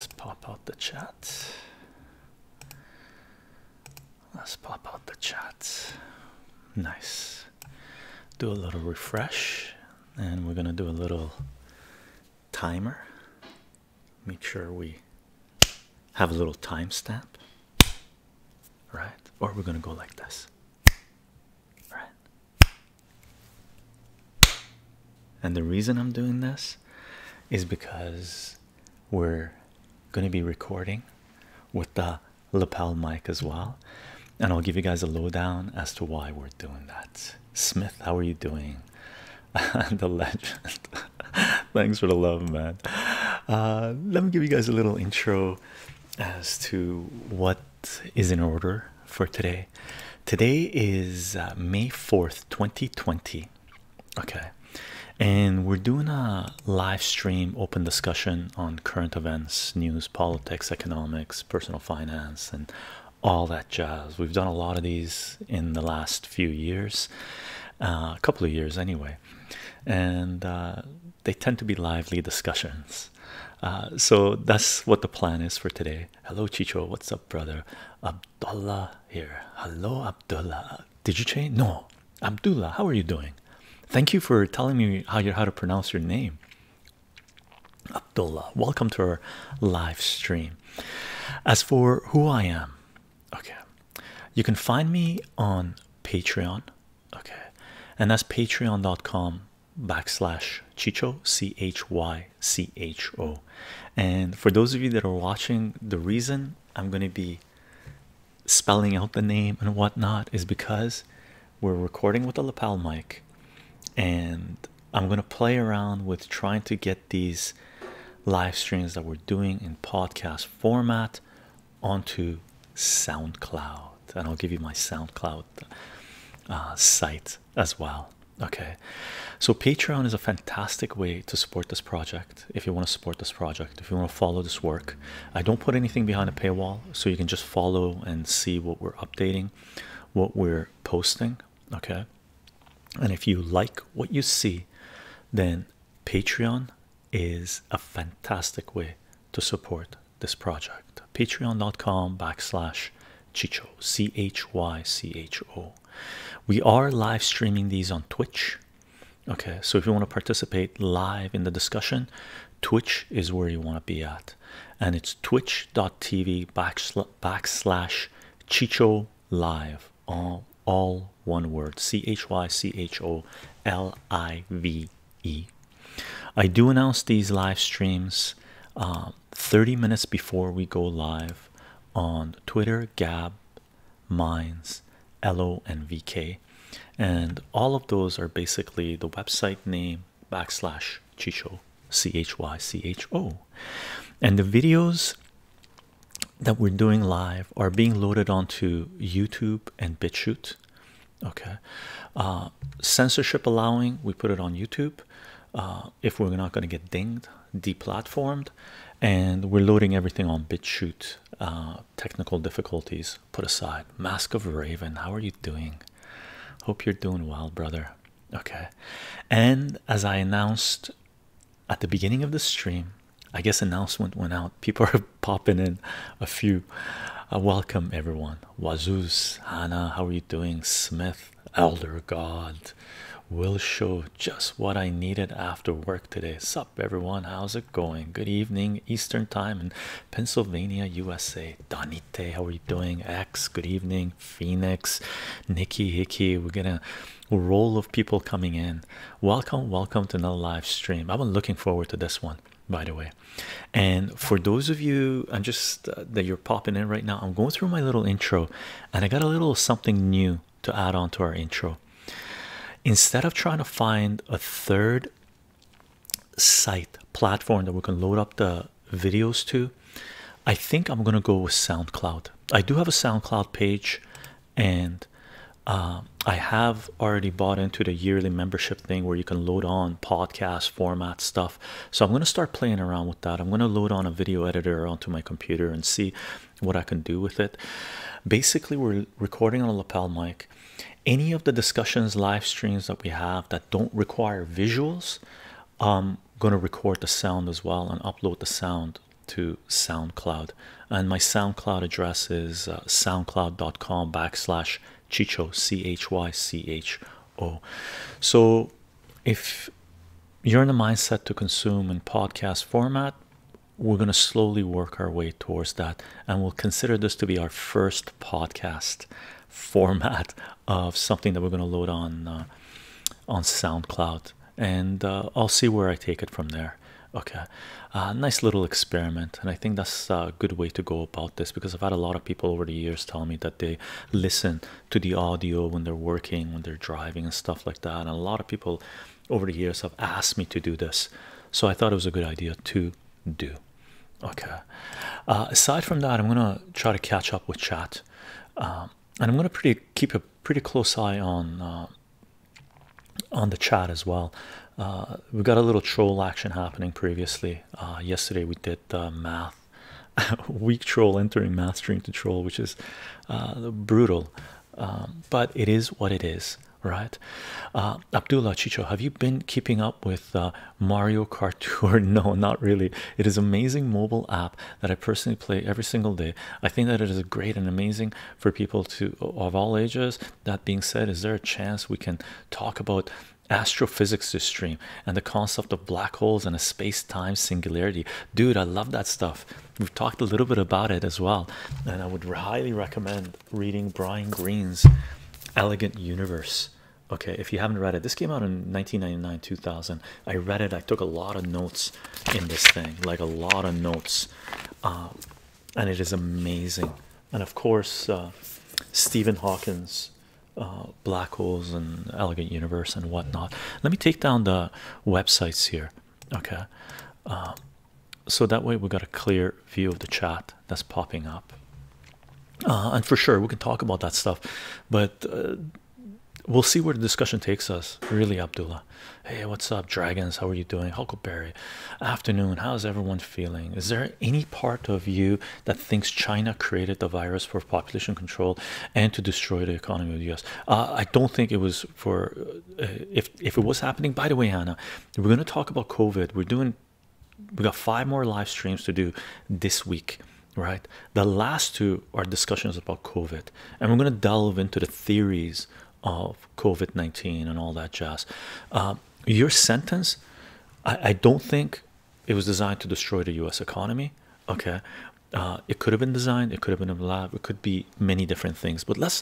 Let's pop out the chat. Let's pop out the chat. Nice. Do a little refresh and we're going to do a little timer. Make sure we have a little timestamp. Right? Or we're going to go like this. Right? And the reason I'm doing this is because we're going to be recording with the lapel mic as well. And I'll give you guys a lowdown as to why we're doing that. Smith, how are you doing? the legend. Thanks for the love, man. Uh, let me give you guys a little intro as to what is in order for today. Today is uh, May 4th, 2020 okay and we're doing a live stream open discussion on current events news politics economics personal finance and all that jazz we've done a lot of these in the last few years uh, a couple of years anyway and uh, they tend to be lively discussions uh, so that's what the plan is for today hello chicho what's up brother Abdullah here. Hello, Abdullah. Did you change? No, Abdullah. How are you doing? Thank you for telling me how you how to pronounce your name. Abdullah, welcome to our live stream. As for who I am, okay, you can find me on Patreon, okay, and that's patreon.com backslash chicho c h y c h o and for those of you that are watching the reason i'm going to be spelling out the name and whatnot is because we're recording with a lapel mic and i'm going to play around with trying to get these live streams that we're doing in podcast format onto soundcloud and i'll give you my soundcloud uh, site as well Okay, so Patreon is a fantastic way to support this project. If you want to support this project, if you want to follow this work, I don't put anything behind a paywall, so you can just follow and see what we're updating, what we're posting. Okay, and if you like what you see, then Patreon is a fantastic way to support this project. Patreon.com backslash Chicho C H Y C H O we are live streaming these on twitch okay so if you want to participate live in the discussion twitch is where you want to be at and it's twitch.tv backslash chicho live all one word c-h-y-c-h-o-l-i-v-e i do announce these live streams um, 30 minutes before we go live on twitter gab Mines, LO, and VK, and all of those are basically the website name backslash Chicho, C H Y C H O, and the videos that we're doing live are being loaded onto YouTube and BitChute. Okay, uh, censorship allowing, we put it on YouTube. Uh, if we're not going to get dinged, deplatformed, and we're loading everything on BitChute. Uh, technical difficulties put aside. Mask of Raven, how are you doing? Hope you're doing well, brother. Okay, and as I announced at the beginning of the stream, I guess announcement went out. People are popping in a few. Uh, welcome everyone. Wazooz, Hannah, how are you doing? Smith, Elder God, Will Show, just what I needed after work today. Sup, everyone? How's it going? Good evening, Eastern Time in Pennsylvania, USA. Donite, how are you doing? X, good evening, Phoenix, Nikki Hickey. We're gonna roll of people coming in. Welcome, welcome to another live stream. I've been looking forward to this one by the way and for those of you i'm just uh, that you're popping in right now i'm going through my little intro and i got a little something new to add on to our intro instead of trying to find a third site platform that we can load up the videos to i think i'm gonna go with soundcloud i do have a soundcloud page and um, i have already bought into the yearly membership thing where you can load on podcast format stuff so i'm going to start playing around with that i'm going to load on a video editor onto my computer and see what I can do with it. Basically, we're recording on a lapel mic. Any of the discussions, live streams that we have that don't require visuals, I'm going to record the sound as well and upload the sound to SoundCloud. And my SoundCloud address is uh, soundcloud.com backslash chicho, C H Y C H O. So if you're in the mindset to consume in podcast format, we're going to slowly work our way towards that and we'll consider this to be our first podcast format of something that we're going to load on uh, on SoundCloud and uh, I'll see where I take it from there okay uh, nice little experiment and I think that's a good way to go about this because I've had a lot of people over the years tell me that they listen to the audio when they're working when they're driving and stuff like that and a lot of people over the years have asked me to do this, so I thought it was a good idea to do. Okay. Uh, aside from that, I'm gonna try to catch up with chat, uh, and I'm gonna pretty keep a pretty close eye on uh, on the chat as well. we got a little troll action happening previously. yesterday we did math, weak troll entering math stream to troll, which is brutal. Um, but it is what it is, right? Uh, Abdullah Chicho, have you been keeping up with uh, Mario Kart Tour? No, not really. It is amazing mobile app that I personally play every single day. I think that it is great and amazing for people to of all ages. That being said, is there a chance we can talk about? astrophysics this stream and the concept of black holes and a space-time singularity dude i love that stuff We've talked a little bit about it as well, and I would highly recommend reading Brian Greene's Elegant Universe. Okay, if you haven't read it, this came out in 1999 2000. I read it, I took a lot of notes in this thing, like a lot of notes, uh, and it is amazing. And of course, uh, Stephen Hawkins. Uh, black holes and elegant universe and whatnot. Let me take down the websites here okay um, so that way we have got a clear view of the chat that's popping up uh, and for sure we can talk about that stuff but uh, we'll see where the discussion takes us really abdullah hey what's up dragons how are you doing huckleberry afternoon how's everyone feeling is there any part of you that thinks china created the virus for population control and to destroy the economy of the us uh, i don't think it was for if if it was happening by the way Anna we're going to talk about COVID we're doing we got five more live streams to do this week right the last two are discussions about COVID and we're going to delve into the theories of COVID-19 and all that jazz uh, your sentence I, don't think it was designed to destroy the US economy okay uh, it could have been designed it could have been a lab it could be many different things but let's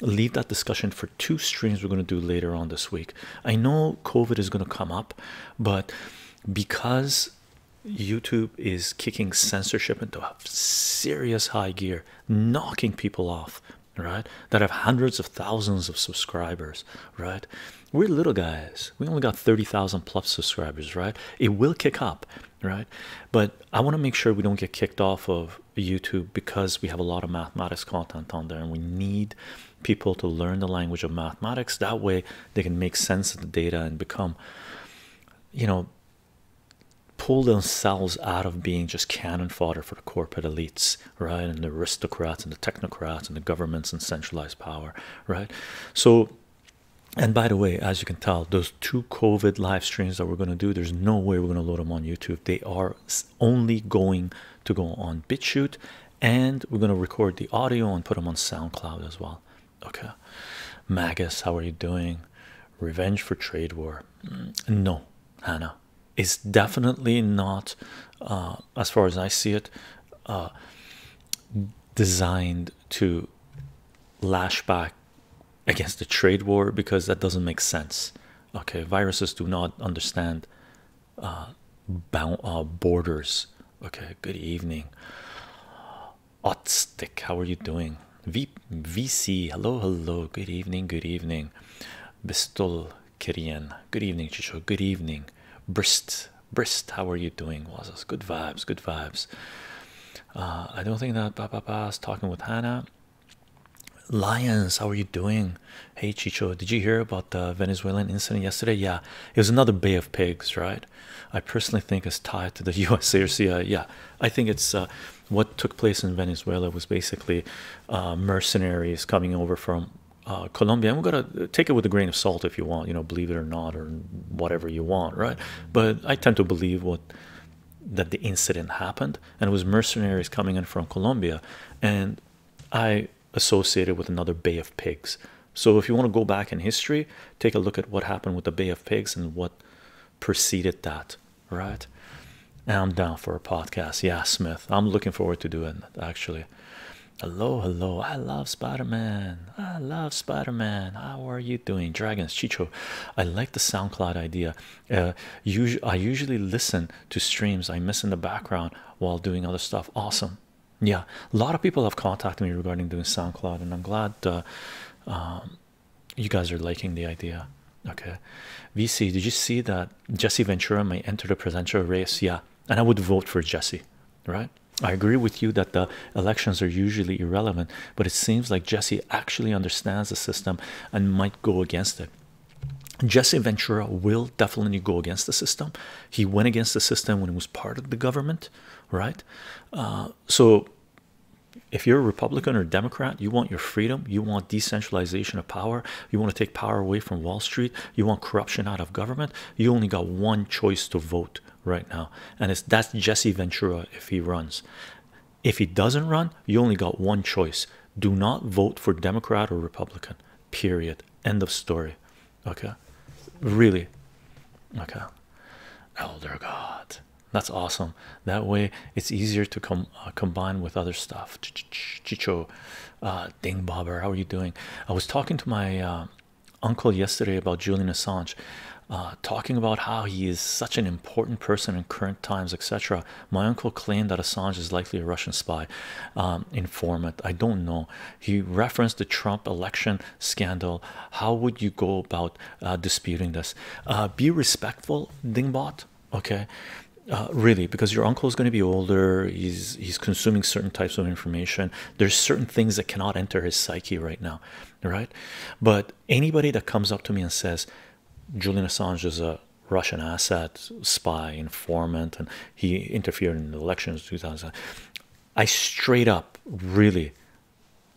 leave that discussion for two streams we're going to do later on this week. I know COVID is going to come up, but because YouTube is kicking censorship into a serious high gear, knocking people off, right? That have hundreds of thousands of subscribers, right? We're little guys, we only got 30,000 plus subscribers, right? It will kick up right? But I want to make sure we don't get kicked off of YouTube because we have a lot of mathematics content on there and we need people to learn the language of mathematics. That way they can make sense of the data and become, you know, pull themselves out of being just cannon fodder for the corporate elites, right? And the aristocrats and the technocrats and the governments and centralized power, right? So, and by the way, as you can tell, those two COVID live streams that we're going to do, there's no way we're going to load them on YouTube. They are only going to go on BitChute, and we're going to record the audio and put them on SoundCloud as well. Okay, Magus, how are you doing? Revenge for Trade War? Mm, no, Hannah, it's definitely not, uh, as far as I see it, uh, designed to lash back against the trade war because that doesn't make sense. Okay, viruses do not understand uh, uh borders. Okay, good evening. Otstick, how are you doing? V VC, hello, hello, good evening, good evening. Bistol Kirian, good evening, Chicho, good evening. Brist, Brist, how are you doing? Wasas? good vibes, good vibes. Uh, I don't think that Papa is talking with Hannah. Lions, how are you doing? Hey Chicho, did you hear about the Venezuelan incident yesterday? Yeah, it was another Bay of Pigs, right? I personally think it's tied to the USA Yeah, I think it's uh, what took place in Venezuela was basically uh, mercenaries coming over from uh, Colombia. And we're gonna take it with a grain of salt if you want, you know, believe it or not, or whatever you want, right? But I tend to believe what that the incident happened and it was mercenaries coming in from Colombia and I associated with another Bay of Pigs. So if you want to go back in history, take a look at what happened with the Bay of Pigs and what preceded that, right? And I'm down for a podcast. Yeah, Smith. I'm looking forward to doing it actually. Hello, hello. I love Spider-Man. I love Spider-Man. How are you doing? Dragons, Chicho. I like the SoundCloud idea uh, usually I usually listen to streams I miss in the background while doing other stuff. Awesome, yeah. A lot of people have contacted me regarding doing SoundCloud, and I'm glad uh, um, you guys are liking the idea. Okay, VC, did you see that Jesse Ventura may enter the presidential race? Yeah, and I would vote for Jesse, right? I agree with you that the elections are usually irrelevant, but it seems like Jesse actually understands the system and might go against it. Jesse Ventura will definitely go against the system. He went against the system when he was part of the government, right? Uh, so, if you're a Republican or Democrat, you want your freedom, you want decentralization of power, you want to take power away from Wall Street, you want corruption out of government. You only got one choice to vote right now, and it's that's Jesse Ventura if he runs if he doesn't run, you only got one choice do not vote for Democrat or Republican, period. End of story. Okay, really. Okay, Elder God, that's awesome. That way, it's easier to com uh, combine with other stuff. Ch Chicho, uh, Ding Bobber, how are you doing? I was talking to my uh, uncle yesterday about Julian Assange. Uh, talking about how he is such an important person in current times, etc. My uncle claimed that Assange is likely a Russian spy um, informant. I don't know. He referenced the Trump election scandal. How would you go about uh, disputing this? Uh, be respectful, Dingbot. Okay. Uh, really because your uncle is going to be older he's he's consuming certain types of information there's certain things that cannot enter his psyche right now right but anybody that comes up to me and says Julian Assange is a Russian asset, spy, informant, and he interfered in the elections 2000. I straight up, really,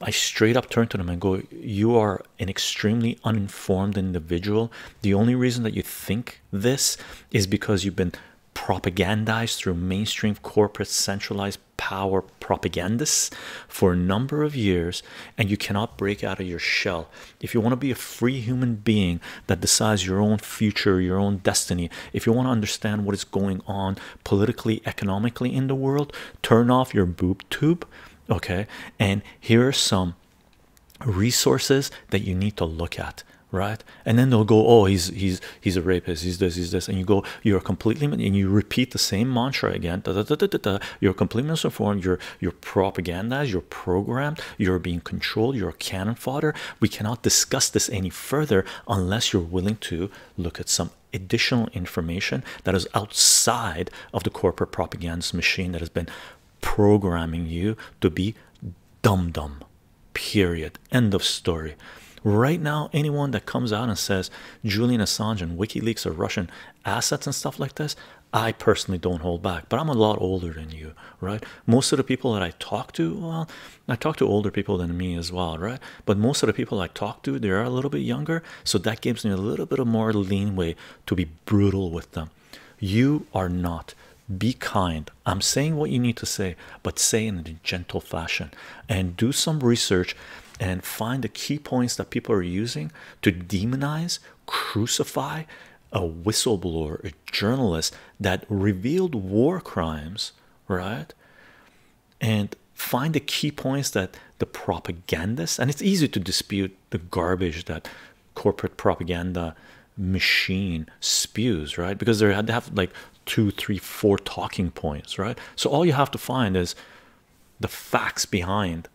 I straight up turn to them and go, You are an extremely uninformed individual. The only reason that you think this is because you've been propagandized through mainstream corporate centralized power propagandists for a number of years, and you cannot break out of your shell if you want to be a free human being that decides your own future, your own destiny, if you want to understand what is going on politically, economically in the world, turn off your boob tube. Okay, and here are some resources that you need to look at right and then they'll go oh he's he's he's a rapist he's this he's this and you go you're completely and you repeat the same mantra again da, da, da, da, da, da. you're completely misinformed you're you're propagandized you're programmed, you're being controlled, you're cannon fodder. We cannot discuss this any further unless you're willing to look at some additional information that is outside of the corporate propaganda machine that has been programming you to be dumb dumb. Period. End of story. Right now, anyone that comes out and says Julian Assange and WikiLeaks are Russian assets and stuff like this, I personally don't hold back, but I'm a lot older than you, right? Most of the people that I talk to, well, I talk to older people than me as well, right? But most of the people I talk to, they are a little bit younger, so that gives me a little bit of more leanway to be brutal with them. You are not. Be kind. I'm saying what you need to say, but say in a gentle fashion and do some research and find the key points that people are using to demonize crucify a whistleblower, a journalist that revealed war crimes, right? And find the key points that the propagandists, and it's easy to dispute the garbage that corporate propaganda machine spews, right? Because they have like two, three, four talking points, right? So all you have to find is the facts behind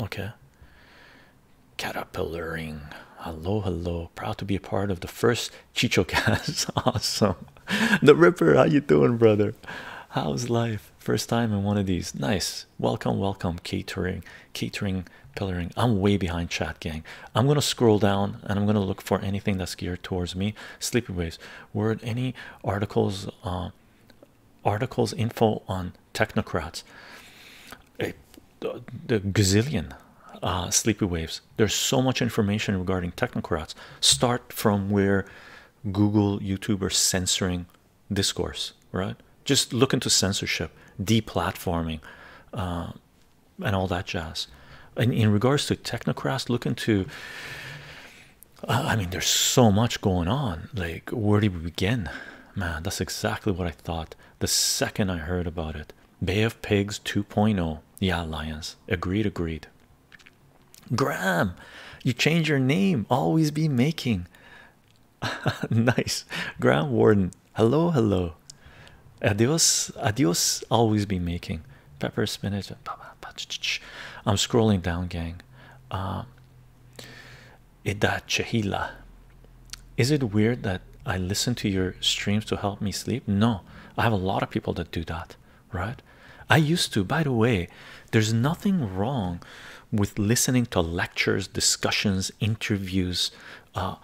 Okay. Caterpillaring. Hello, hello. Proud to be a part of the first Chicho cast. awesome. The Ripper, how you doing, brother? How's life? First time in one of these. Nice. Welcome, welcome. Catering, catering, pillaring. I'm way behind chat gang. I'm gonna scroll down and I'm gonna look for anything that's geared towards me. Sleepy waves. Word any articles uh, articles, info on technocrats, the gazillion uh, sleepy waves. There's so much information regarding technocrats. Start from where Google, YouTube are censoring discourse, right? Just look into censorship, deplatforming, uh, and all that jazz. And in regards to technocrats, look into I mean, there's so much going on. Like, where do we begin? Man, that's exactly what I thought the second I heard about it. Bay of Pigs 2.0. Yeah, Lions. Agreed, agreed. Graham, you change your name. Always be making. nice. Graham Warden. Hello, hello. Adios, adios. Always be making. Pepper, spinach. I'm scrolling down, gang. Uh, Idat Chahila. Is it weird that I listen to your streams to help me sleep? No, I have a lot of people that do that, right? I used to, by the way, there's nothing wrong with listening to lectures, discussions, interviews, uh,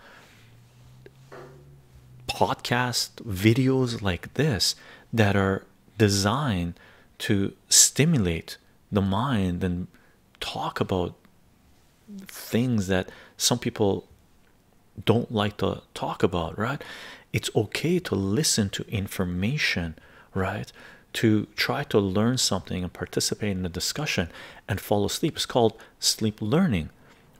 podcasts, videos like this that are designed to stimulate the mind and talk about things that some people don't like to talk about, right? It's okay to listen to information, right? To try to learn something and participate in the discussion and fall asleep. It's called sleep learning.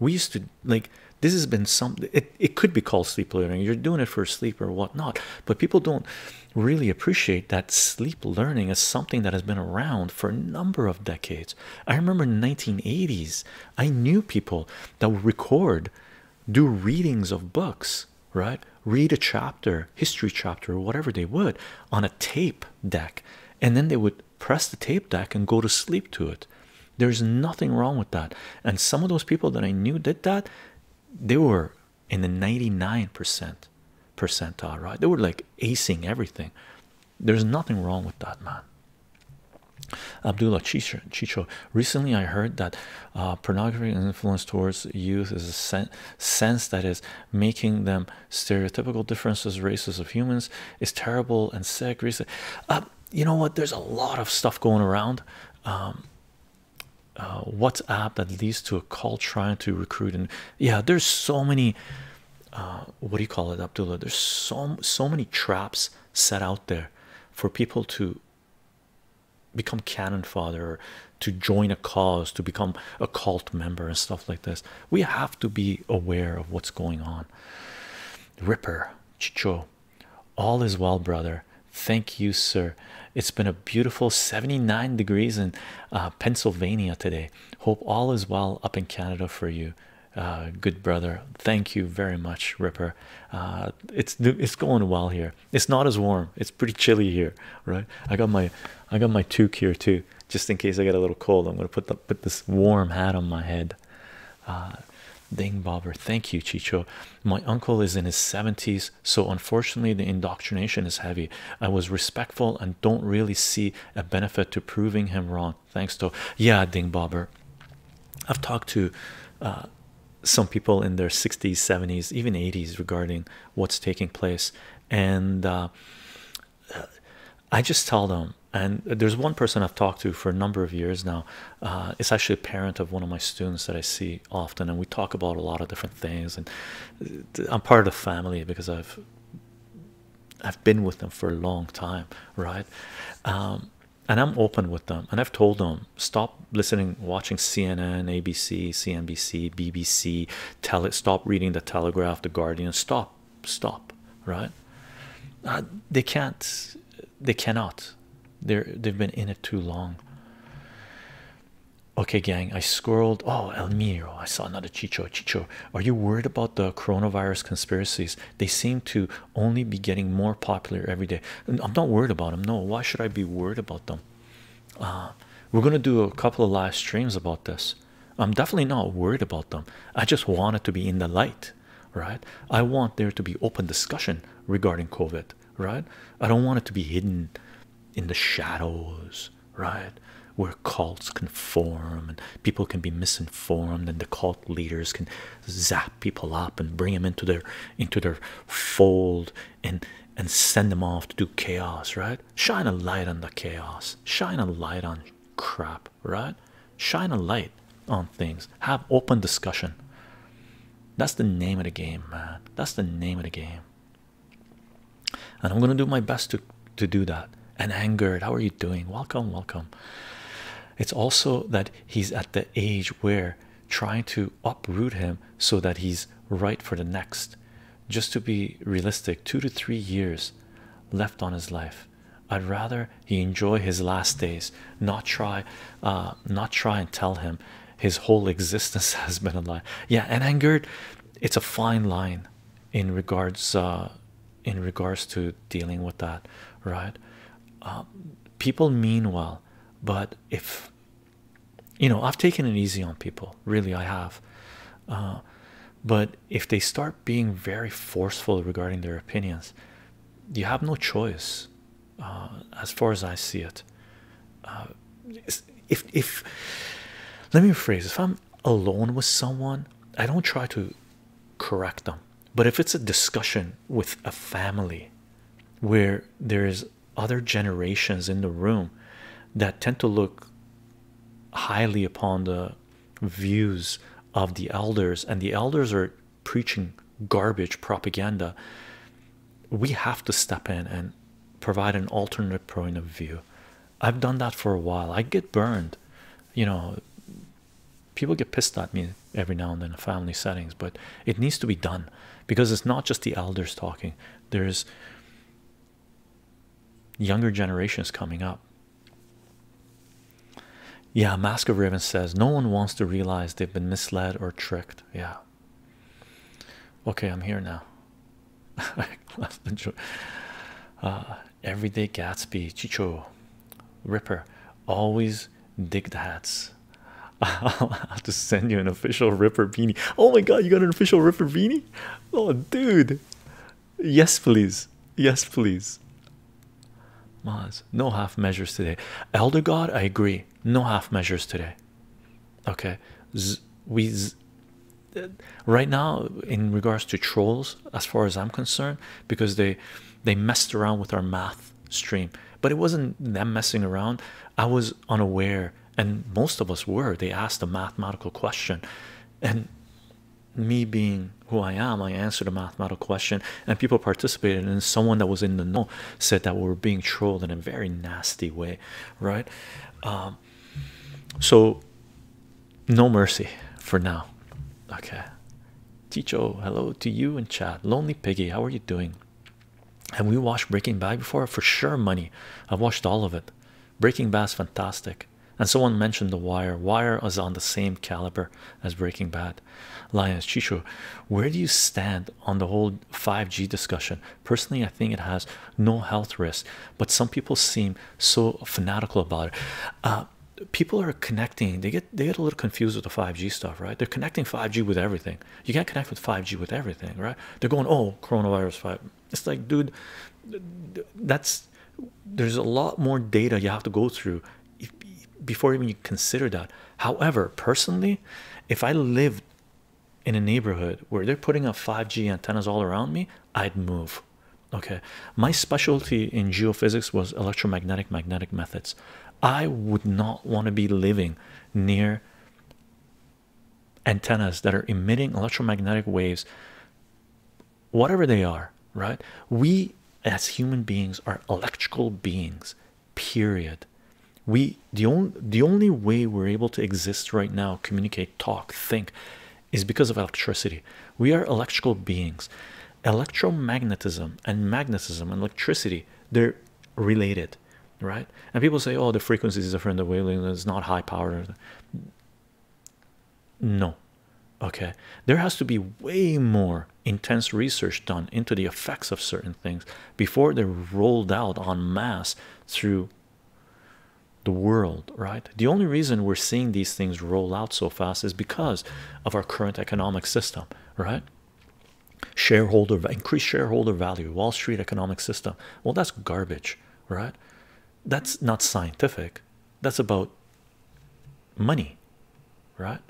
We used to like this has been some. it, it could be called sleep learning. You're doing it for sleep or whatnot, but people don't really appreciate that sleep learning is something that has been around for a number of decades. I remember in 1980s, I knew people that would record, do readings of books, right? Read a chapter, history chapter, or whatever they would on a tape deck, and then they would press the tape deck and go to sleep to it. There's nothing wrong with that. And some of those people that I knew did that, they were in the 99% percentile, right? They were like acing everything. There's nothing wrong with that, man. Abdullah Chicho, recently I heard that uh, pornography and influence towards youth is a sense that is making them stereotypical differences, races of humans is terrible and sick. Recent, uh, you know what? There's a lot of stuff going around. Um, uh, WhatsApp that leads to a call trying to recruit. And yeah, there's so many. Uh, what do you call it, Abdullah? There's so so many traps set out there for people to become cannon fodder, to join a cause, to become a cult member, and stuff like this. We have to be aware of what's going on. Ripper, Chicho, all is well, brother. Thank you, sir. It's been a beautiful 79 degrees in uh, Pennsylvania today. Hope all is well up in Canada for you, uh, good brother. Thank you very much, Ripper. Uh, it's it's going well here. It's not as warm. It's pretty chilly here, right? I got my I got my toque here too, just in case I get a little cold. I'm gonna put the, put this warm hat on my head. Uh, Ding bobber, thank you, Chicho. My uncle is in his 70s, so unfortunately the indoctrination is heavy i was respectful and don't really see a benefit to proving him wrong thanks to yeah ding bobber i've talked to uh, some people in their 60s 70s even 80s regarding what's taking place and uh, i just tell them and there's one person i've talked to for a number of years now uh, it's actually a parent of one of my students that i see often and we talk about a lot of different things and I'm part of the family because I've I've been with them for a long time, right? Um, and I'm open with them, and I've told them stop listening, watching CNN, ABC, CNBC, BBC. Tell it stop reading the Telegraph, the Guardian. Stop, stop, right? Uh, they can't. They cannot. They're they've been in it too long. Okay, gang, I scrolled. Oh, El Miro, I saw another Chicho. Chicho, are you worried about the coronavirus conspiracies? They seem to only be getting more popular every day. I'm not worried about them. No, why should I be worried about them? Uh, we're going to do a couple of live streams about this. I'm definitely not worried about them. I just want it to be in the light, right? I want there to be open discussion regarding COVID, right? I don't want it to be hidden in the shadows, right? Where cults can form and people can be misinformed, and the cult leaders can zap people up and bring them into their into their fold and and send them off to do chaos, right? Shine a light on the chaos, shine a light on crap, right? Shine a light on things, have open discussion. That's the name of the game, man. That's the name of the game and i'm going to do my best to to do that and angered how are you doing welcome welcome it's also that he's at the age where trying to uproot him so that he's right for the next just to be realistic 2 to 3 years left on his life i'd rather he enjoy his last days not try uh, not try and tell him his whole existence has been a lie yeah and angered it's a fine line in regards uh, in regards to dealing with that right um, people mean well but if you know I've taken it easy on people really I have uh, but if they start being very forceful regarding their opinions you have no choice uh, as far as I see it if if let me rephrase if i'm alone with someone i don't try to correct them but if it's a discussion with a family where there's other generations in the room that tend to look highly upon the views of the elders and the elders are preaching garbage propaganda we have to step in and provide an alternate point of view I've done that for a while. I get burned, you know. People get pissed at me every now and then in family settings, but it needs to be done because it's not just the elders talking, there's younger generations coming up. Yeah, Mask of Raven says no one wants to realize they've been misled or tricked. Yeah, okay, I'm here now uh, everyday Gatsby, Chicho, Ripper, always dig the hats. I'll have to send you an official Ripper beanie. Oh my god, you got an official Ripper beanie? Oh, dude, yes, please, yes, please. Maz, no half measures today. Elder God, I agree, no half measures today. Okay, we z right now in regards to trolls as far as i'm concerned because they they messed around with our math stream but it wasn't them messing around i was unaware and most of us were they asked a mathematical question and me being who i am i answered a mathematical question and people participated and someone that was in the know said that we were being trolled in a very nasty way right um, so no mercy for now okay Chicho, hello to you and chat lonely piggy how are you doing have we watched breaking bad before for sure money i've watched all of it breaking bad's fantastic and someone mentioned the wire wire is on the same caliber as breaking bad lions chicho where do you stand on the whole 5g discussion personally i think it has no health risk but some people seem so fanatical about it. Uh, people are connecting. They get they get a little confused with the 5G stuff, right? They're connecting 5G with everything. You can't connect with 5G with everything, right? They're going, oh, coronavirus 5. It's like, dude, that's there's a lot more data you have to go through before even you consider that. However, personally, if I lived in a neighborhood where they're putting up 5G antennas all around me, I'd move okay my specialty in geophysics was electromagnetic magnetic methods i would not want to be living near antennas that are emitting electromagnetic waves whatever they are right we as human beings are electrical beings period we the only the only way we're able to exist right now communicate talk think is because of electricity. We are electrical beings. Electromagnetism and magnetism and electricity, they're related, right? And people say, oh, the frequency is different, the wavelength It's not high powered No, okay. There has to be way more intense research done into the effects of certain things before they're rolled out en masse through the world, right? The only reason we're seeing these things roll out so fast is because of our current economic system, right? Shareholder increased shareholder value, Wall Street economic system. Well, that's garbage, right? That's not scientific, that's about money, right?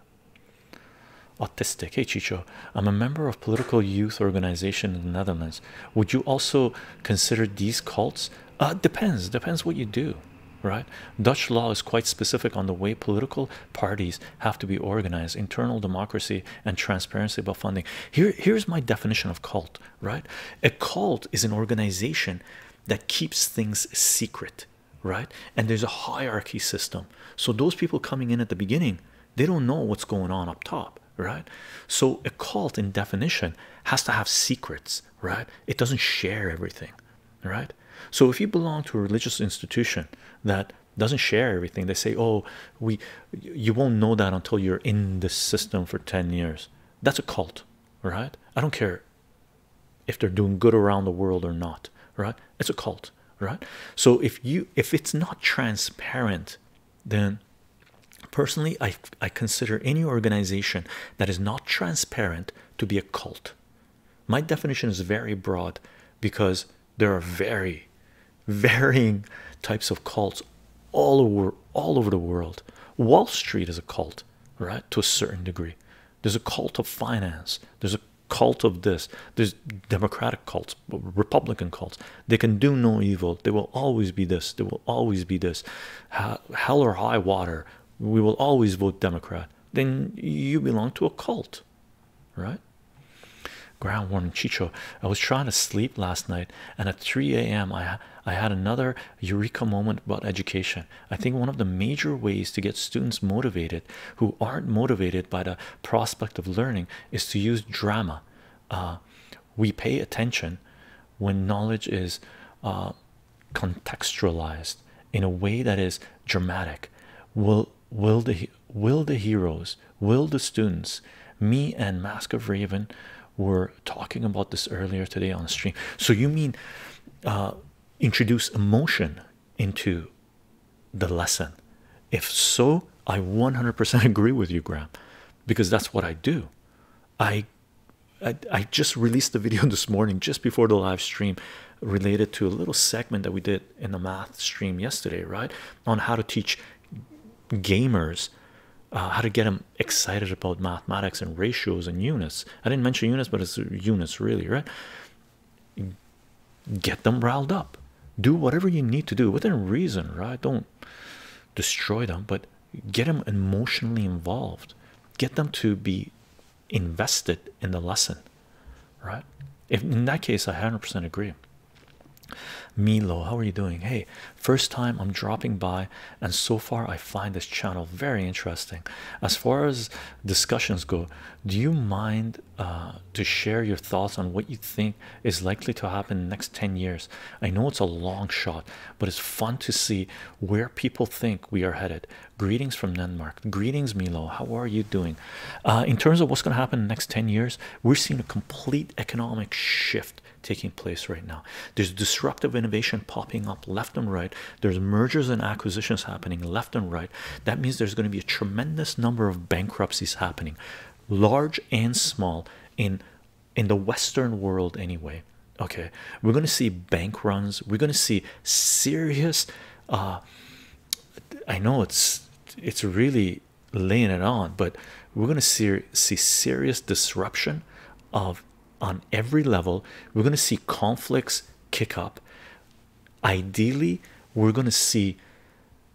Autistic. Hey Chicho, I'm a member of political youth organization in the Netherlands. Would you also consider these cults uh, depends, depends what you do, right? Dutch law is quite specific on the way political parties have to be organized, internal democracy and transparency about funding. Here, here's my definition of cult, right? A cult is an organization that keeps things secret, right? And there's a hierarchy system. So those people coming in at the beginning, they don't know what's going on up top, right? So a cult in definition has to have secrets right? It doesn't share everything, right? So if you belong to a religious institution that doesn't share everything, they say, "Oh, we you won't know that until you're in the system for 10 years." That's a cult, right? I don't care if they're doing good around the world or not, right? It's a cult, right? So if you if it's not transparent, then Personally, I, I consider any organization that is not transparent to be a cult. My definition is very broad because there are very varying types of cults all over all over the world. Wall Street is a cult, right? To a certain degree. There's a cult of finance. There's a cult of this. There's democratic cults, Republican cults. They can do no evil. There will always be this. There will always be this hell or high water, we will always vote Democrat, then you belong to a cult, right? Ground warming Chicho. I was trying to sleep last night, and at 3 a.m., I, I had another eureka moment about education. I think one of the major ways to get students motivated who aren't motivated by the prospect of learning is to use drama. Uh, we pay attention when knowledge is uh, contextualized in a way that is dramatic will will the will the heroes will the students me and mask of raven were talking about this earlier today on stream so you mean uh, introduce emotion into the lesson if so i 100% agree with you graham because that's what i do i I, I just released the video this morning just before the live stream related to a little segment that we did in the math stream yesterday right on how to teach gamers uh, how to get them excited about mathematics and ratios and units i didn't mention units but it's units really right get them riled up do whatever you need to do within reason right don't destroy them but get them emotionally involved get them to be invested in the lesson right if in that case i 100% agree milo how are you doing hey first time i'm dropping by and so far i find this channel very interesting as far as discussions go do you mind uh, to share your thoughts on what you think is likely to happen next 10 years i know it's a long shot but it's fun to see where people think we are headed. Greetings from Denmark. Greetings, Milo. How are you doing? Uh, in terms of what's going to happen in the next 10 years, we're seeing a complete economic shift taking place right now. There's disruptive innovation popping up left and right. There's mergers and acquisitions happening left and right. That means there's going to be a tremendous number of bankruptcies happening, large and small, in in the Western world, anyway. Okay, we're going to see bank runs, we're going to see serious. Uh, I know it's it's really laying it on, but we're going to see, see serious disruption of on every level. We're going to see conflicts kick up. Ideally, we're going to see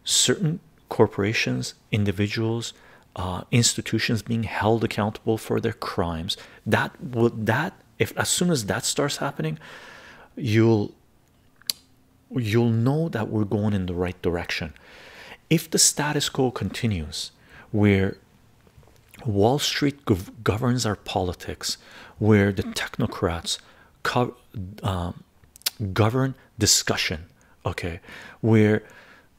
certain corporations, individuals, uh, institutions being held accountable for their crimes that would that if as soon as that starts happening you'll you'll know that we're going in the right direction if the status quo continues where wall street governs our politics where the technocrats um, govern discussion okay where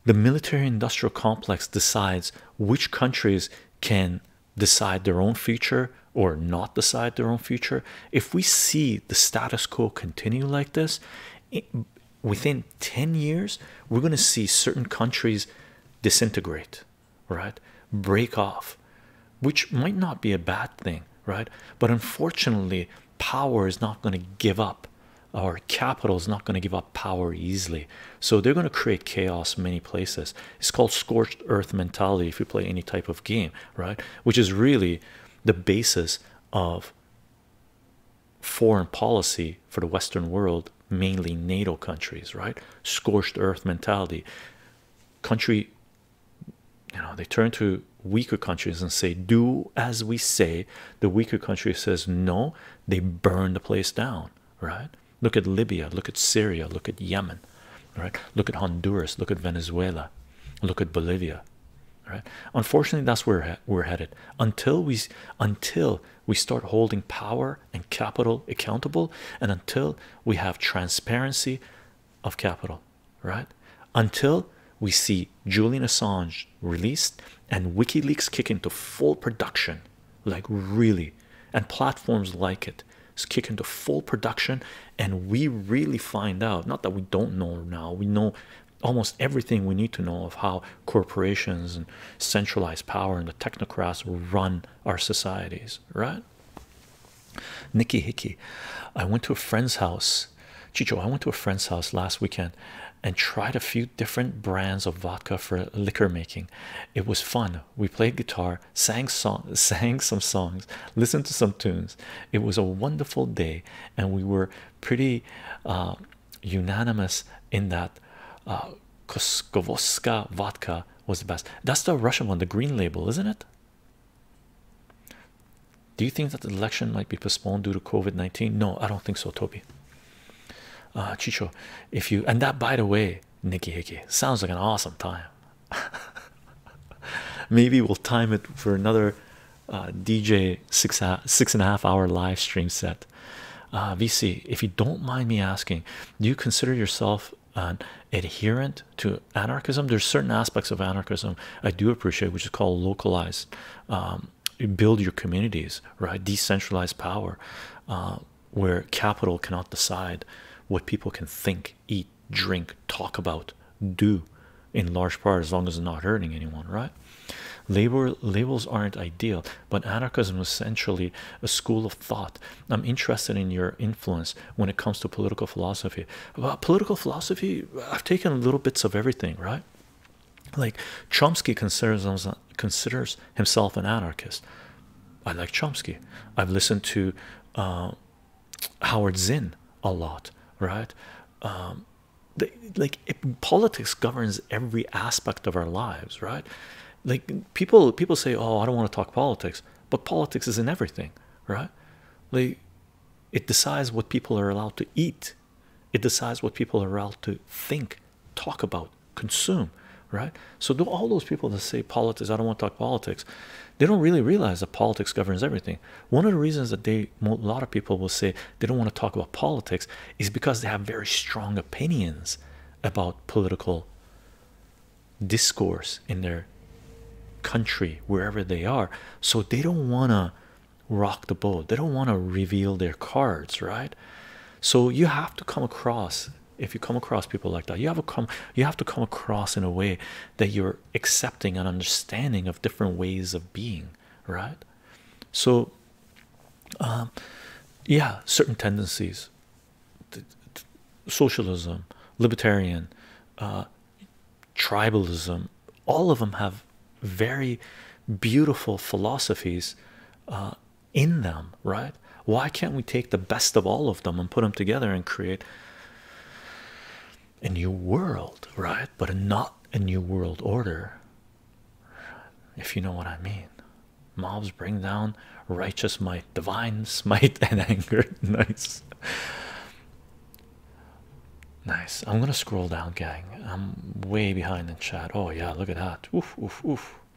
the military industrial complex decides which countries can decide their own future or not decide their own future. If we see the status quo continue like this, within 10 years, we're going to see certain countries disintegrate, right? Break off, which might not be a bad thing, right? But unfortunately, power is not going to give up, or capital is not going to give up power easily so they're going to create chaos many places it's called scorched earth mentality if you play any type of game right which is really the basis of foreign policy for the western world mainly nato countries right scorched earth mentality country you know they turn to weaker countries and say do as we say the weaker country says no they burn the place down right Look at Libya, look at Syria, look at Yemen, right? Look at Honduras, look at Venezuela, look at Bolivia, right? Unfortunately, that's where we're headed. Until we until we start holding power and capital accountable, and until we have transparency of capital, right? Until we see Julian Assange released and WikiLeaks kick into full production, like really, and platforms like it is kick into full production, and we really find out not that we don't know now, we know almost everything we need to know of how corporations and centralized power and the technocrats run our societies, right? Nikki Hickey, I went to a friend's house. Chicho, I went to a friend's house last weekend and tried a few different brands of vodka for liquor making. It was fun, we played guitar, sang sang some songs, listened to some tunes. It was a wonderful day, and we were pretty uh, unanimous in that uh, Koskovoska vodka was the best. That's the Russian one, the green label, isn't it? Do you think that the election might be postponed due to COVID 19? No, I don't think so, Toby. Uh, Chicho, if you and that by the way, by Nikki Hickey. Sounds like an awesome time. Maybe we'll time it for another uh, DJ six six and a half hour live stream set. Uh, VC, if you don't mind me asking, do you consider yourself an adherent to anarchism? There's certain aspects of anarchism I do appreciate, which is called localized. Um, build your communities, right? Decentralized power. Uh, where capital cannot decide what people can think, eat, drink, talk about, do in large part as long as they not hurting anyone, right? Labor labels aren't ideal, but anarchism is essentially a school of thought. I'm interested in your influence when it comes to political philosophy. About political philosophy, I've taken little bits of everything, right? Like Chomsky considers considers himself an anarchist. I like Chomsky. I've listened to uh, Howard Zinn a lot, right? Um, like politics governs every aspect of our lives, right? Like people, people say, "Oh, I don't want to talk politics," but politics is in everything, right? it decides what people are allowed to eat. It decides what people are allowed to think talk about, consume, right? So do all those people that say politics, I don't want to talk politics, they don't really realize that politics governs everything. One of the reasons that they a lot of people will say they don't want to talk about politics is because they have very strong opinions about political discourse in their country wherever they are so they don't want to rock the boat they don't want to reveal their cards right so you have to come across if you come across people like that you have a come you have to come across in a way that you're accepting and understanding of different ways of being right so um, yeah certain tendencies socialism libertarian uh, tribalism all of them have very beautiful philosophies uh, in them, right? Why can't we take the best of all of them and put them together and create a new world, right? But not a new world order, if you know what I mean. Mobs bring down righteous might, divine smite, and anger. nice, nice. I'm gonna scroll down, gang. I'm way behind in chat. Oh, yeah, look at that. Oof, oof, oof.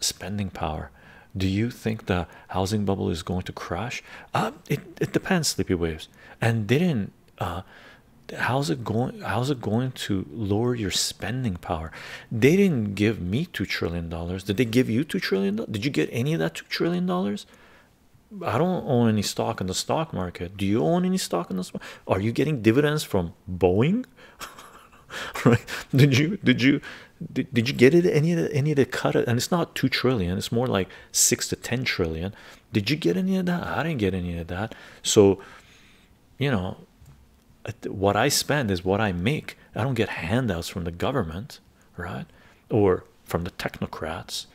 spending power. Do you think the housing bubble is going to crash? Uh, it it depends, sleepy waves. And didn't uh, how's it going? How's it going to lower your spending power? They didn't give me two trillion dollars. Did they give you two trillion? Did you get any of that two trillion dollars? I don't own any stock in the stock market. Do you own any stock in the this? Are you getting dividends from Boeing? right did you did you did, did you get it any of the any of the cut and it's not two trillion it's more like six to ten trillion did you get any of that i didn't get any of that so you know what i spend is what i make i don't get handouts from the government right or from the technocrats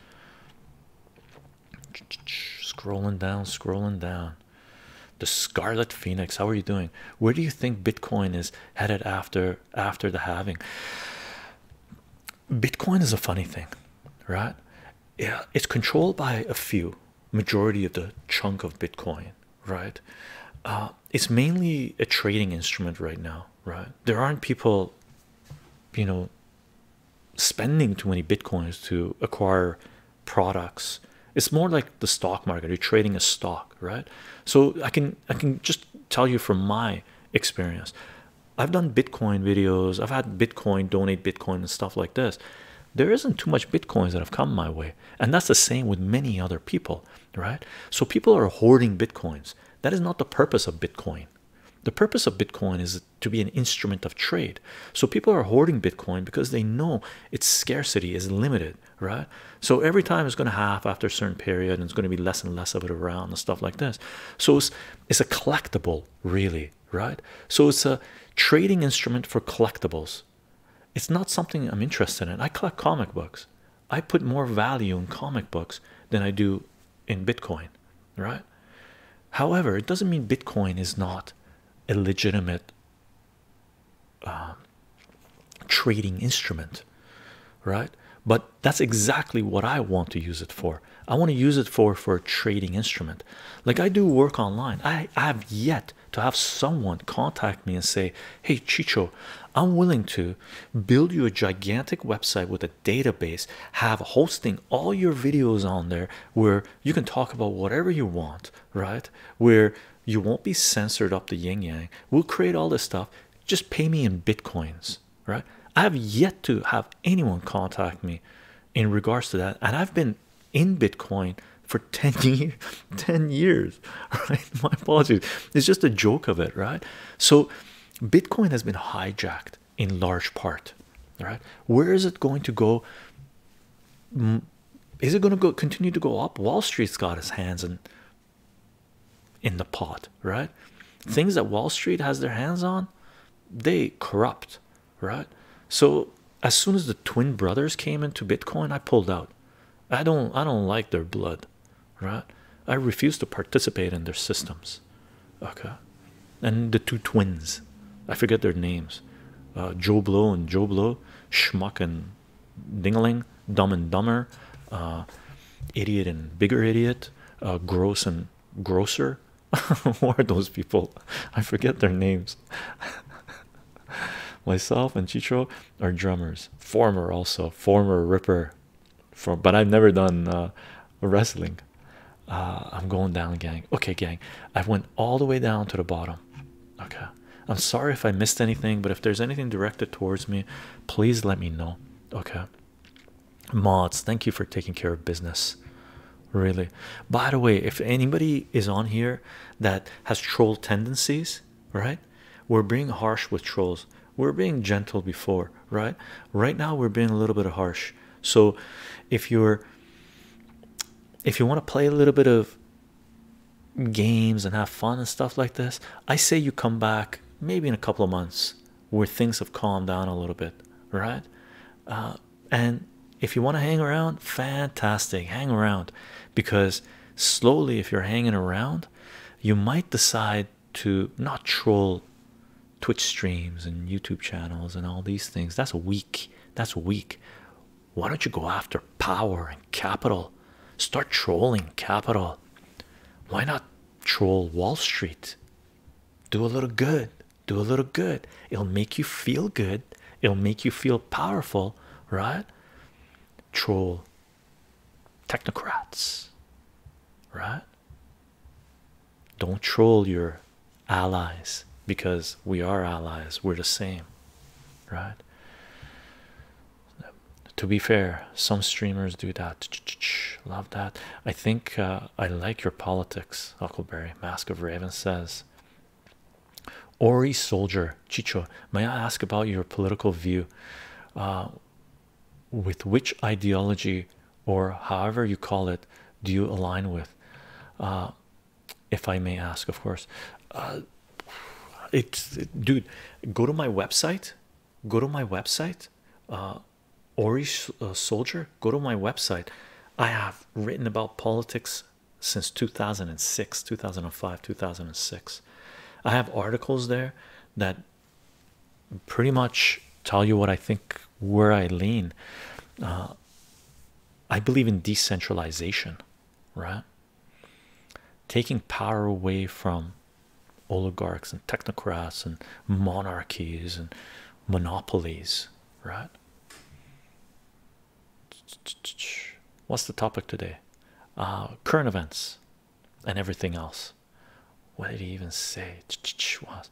scrolling down scrolling down the scarlet phoenix how are you doing where do you think Bitcoin is headed after after the halving? Bitcoin is a funny thing, right? Yeah, it's controlled by a few, majority of the chunk of Bitcoin, right? Uh, it's mainly a trading instrument right now, right? There aren't people, you know, spending too many Bitcoins to acquire products. It's more like the stock market, you're trading a stock, right? So I can I can just tell you from my experience. I've done Bitcoin videos. I've had Bitcoin donate Bitcoin and stuff like this. There isn't too much Bitcoins that have come my way, and that's the same with many other people, right? So people are hoarding Bitcoins. That is not the purpose of Bitcoin. The purpose of Bitcoin is to be an instrument of trade. So people are hoarding Bitcoin because they know its scarcity is limited right? So every time it's going to half after a certain period, and it's going to be less and less of it around and stuff like this. So it's it's a collectible, really, right? So it's a trading instrument for collectibles. It's not something I'm interested in. I collect comic books. I put more value in comic books than I do in Bitcoin, right? However, it doesn't mean Bitcoin is not a legitimate um, trading instrument, right? But that's exactly what I want to use it for. I want to use it for for a trading instrument. Like I do work online. I, have yet to have someone contact me and say, "Hey Chicho, I'm willing to build you a gigantic website with a database, have hosting all your videos on there where you can talk about whatever you want, right? Where you won't be censored up the yin yang. We'll create all this stuff just pay me in bitcoins right i have yet to have anyone contact me in regards to that and i've been in bitcoin for 10 years right my apologies it's just a joke of it right so bitcoin has been hijacked in large part right where is it going to go is it going to go continue to go up wall street's got his hands and in the pot, right? Things that Wall Street has their hands on, they corrupt, right? So as soon as the twin brothers came into Bitcoin, I pulled out. I don't I don't like their blood, right? I refuse to participate in their systems. Okay. And the two twins, I forget their names, uh, Joe Blow and Joe Blow, Schmuck and Dingaling, Dumb and Dumber, uh, Idiot and Bigger Idiot, uh, Gross and Grosser. Who are those people? I forget their names. Myself and Chicho are drummers, former also, former ripper. but I've never done uh, wrestling. I'm going down, gang. Okay, gang. I went all the way down to the bottom. Okay. I'm sorry if I missed anything, but if there's anything directed towards me, please let me know okay mods thank you for taking care of business really by the way if anybody is on here that has troll tendencies right we're being harsh with trolls we're being gentle before right right now we're being a little bit harsh so if you're if you want to play a little bit of games and have fun and stuff like this, I say you come back maybe in a couple of months where things have calmed down a little bit, right? Uh, and if you want to hang around, fantastic, hang around because slowly, if you're hanging around, you might decide to not troll Twitch streams and YouTube channels and all these things. That's weak. That's weak. Why don't you go after power capital start trolling capital why not troll wall street do a little good do a little good it'll make you feel good it'll make you feel powerful right troll technocrats right don't troll your allies because we are allies we're the same right to be fair, some streamers do that. love that. I think uh, I like your politics, Huckleberry. Mask of Raven says. Ori Soldier Chicho, may I ask about your political view? Uh, with which ideology or however you call it do you align with? Uh, if I may ask, of course. it, dude, go to my website go to my website uh ori uh, soldier go to my website i have written about politics since 2006 2005 2006 i have articles there that pretty much tell you what i think where i lean uh, i believe in decentralization right taking power away from oligarchs and technocrats and monarchies and monopolies, right? What's the topic today? Uh, current events and everything else. What did he even say? Was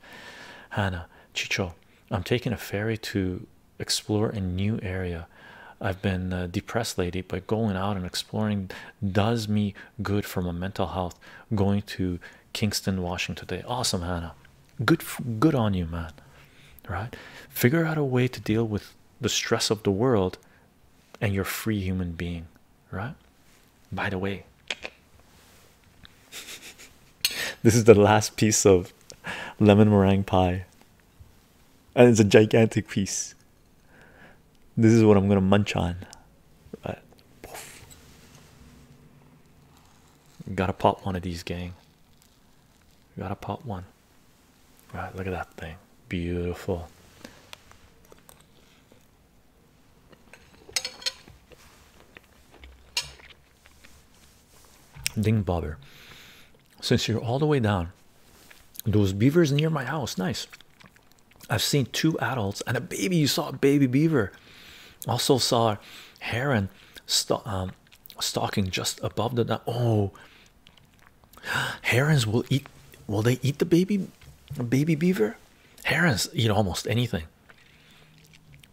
Hannah Chicho? I'm taking a ferry to explore a new area. I've been depressed lately, but going out and exploring does me good for my mental health going to Kingston, Washington today. Awesome, Hannah. Good, good on you, man. Right? Figure out a way to deal with the stress of the world and you're free human being, right? By the way, this is the last piece of lemon meringue pie, and it's a gigantic piece. This is what I'm gonna munch on. Right. Gotta pop one of these, gang. Gotta pop one. Right, look at that thing. Beautiful. Ding bobber. Since you're all the way down, those beavers near my house, nice. I've seen two adults and a baby. You saw a baby beaver. Also saw heron um, stalking just above the. Oh, herons will eat. Will they eat the baby, baby beaver? Herons eat almost anything.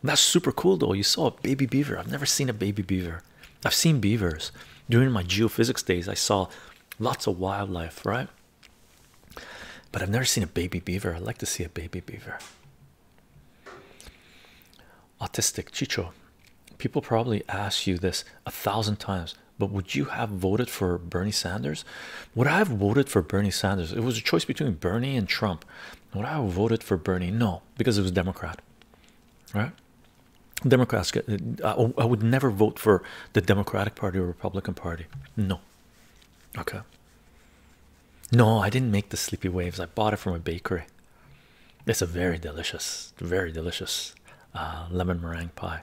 That's super cool though. You saw a baby beaver. I've never seen a baby beaver. I've seen beavers. During my geophysics days, I saw lots of wildlife, right? But I've never seen a baby beaver. I'd like to see a baby beaver. Autistic Chicho, people probably ask you this a thousand times, but would you have voted for Bernie Sanders? Would I have voted for Bernie Sanders? It was a choice between Bernie and Trump. Would I have voted for Bernie? No, because it was Democrat, right? Democrats uh, I would never vote for the Democratic Party or Republican Party. No, Okay. No, I didn't make the sleepy waves. I bought it from a bakery. It's a very delicious, very delicious uh, lemon meringue pie.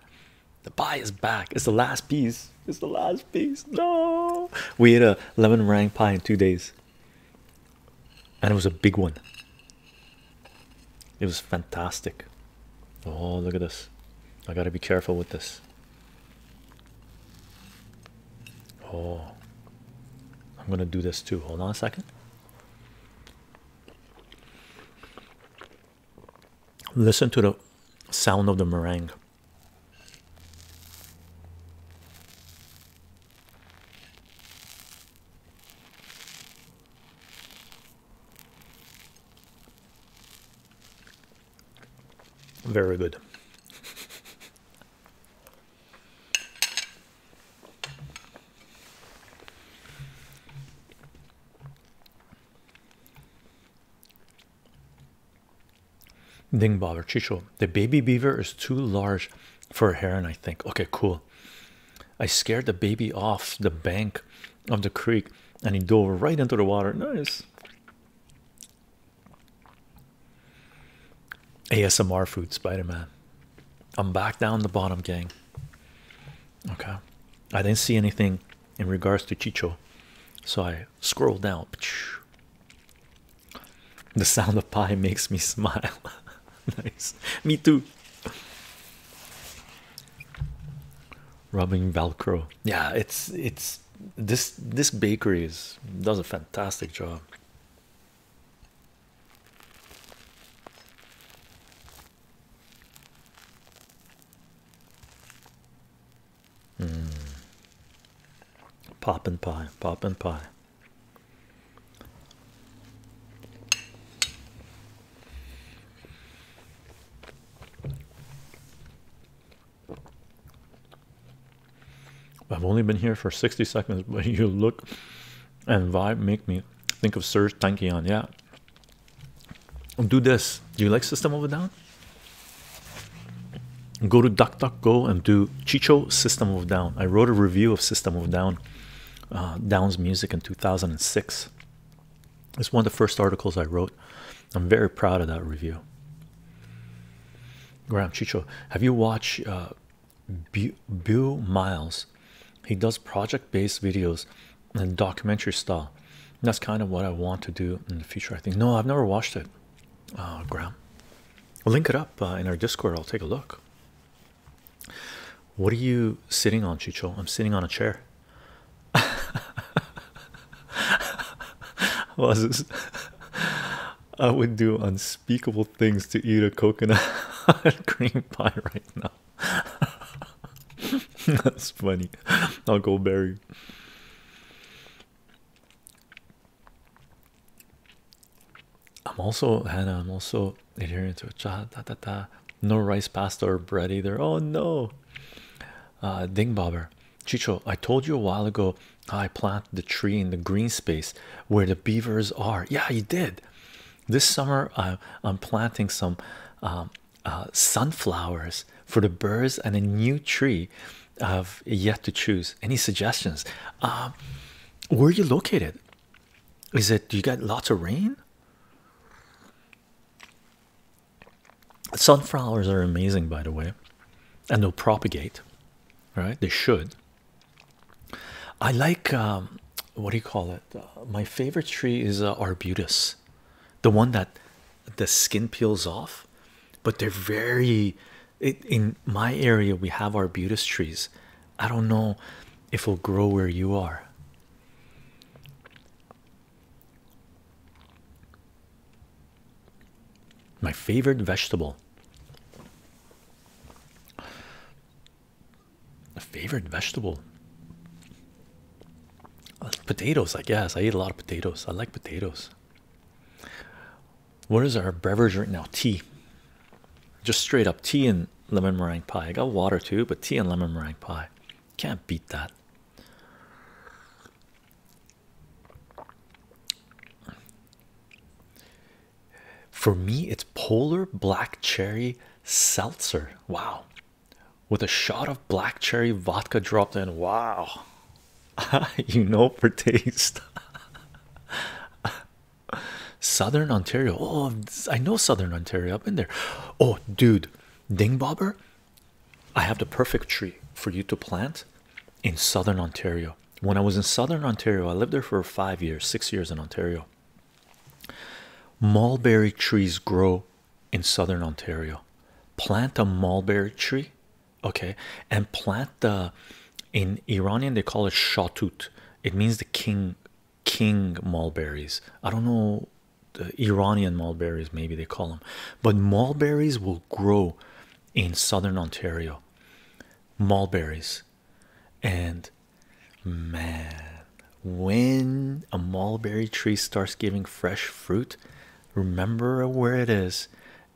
The pie is back. It's the last piece. It's the last piece. No, we ate a lemon meringue pie in two days, and it was a big one. It was fantastic. Oh, look at this! I got to be careful with this. Oh, I'm gonna do this too. Hold on a second. Listen to the sound of the meringue. Very good. Ding, Dingbobber Chicho, the baby beaver is too large for a heron, I think. Okay, cool. I scared the baby off the bank of the creek and he dove right into the water. Nice. ASMR food, Spider Man. I'm back down the bottom, gang. Okay, I didn't see anything in regards to Chicho, so I scroll down. The sound of pie makes me smile. nice, me too. Rubbing Velcro, yeah, it's it's this this bakery does a fantastic job. Hmm. Pop and pie, pop and pie. I've only been here for 60 seconds, but you look and vibe make me think of Serge Tankian. Yeah, do this. Do you like System of a Down? Go to DuckDuckGo and do Chicho System of Down. I wrote a review of System of Down, uh, Down's music in 2006. It's one of the first articles I wrote. I'm very proud of that review. Graham Chicho, have you watched uh, Bill Miles? He does project-based videos and documentary style. that's kind of what I want to do in the future. I think. No, I've never watched it. Uh, Graham, link it up uh, in our Discord. I'll take a look. What are you sitting on, Chicho? I'm sitting on a chair. I would do unspeakable things to eat a coconut cream pie right now. That's funny. I'll go berry. I'm also Hannah. I'm also adhering to a cha da da da. No rice pasta or bread either. Oh no. Uh, ding bobber. Chicho, I told you a while ago I planted the tree in the green space where the beavers are. Yeah, you did. This summer I, am planting some um, uh, sunflowers for the birds and a new tree I've yet to choose. Any suggestions? Um, where are you located? Is it you get lots of rain? Sunflowers are amazing, by the way, and they'll propagate, right? They should. I like um, what do you call it? Uh, my favorite tree is uh, arbutus, the one that the skin peels off, but they're very. in my area, we have arbutus trees. I don't know if it'll grow where you are. My favorite vegetable. A favorite vegetable. Uh, potatoes, I guess. I eat a lot of potatoes. I like potatoes. What is our beverage right now? Tea. Just straight up tea and lemon meringue pie. I got water too, but tea and lemon meringue pie. Can't beat that. For me, it's polar black cherry seltzer. Wow. With a shot of black cherry vodka dropped in. Wow. you know for taste. Southern Ontario. Oh, I know Southern Ontario. I've been there. Oh, dude, Dingbobbler. I have the perfect tree for you to plant in southern Ontario. When I was in southern Ontario, I lived there for five years, six years in Ontario. Mulberry trees grow in southern Ontario. Plant a mulberry tree, okay, and plant the in Iranian they call it shatut. It means the king king mulberries. I don't know the Iranian mulberries, maybe they call them, but mulberries will grow in southern Ontario mulberries and man when a mulberry tree starts giving fresh fruit remember where it is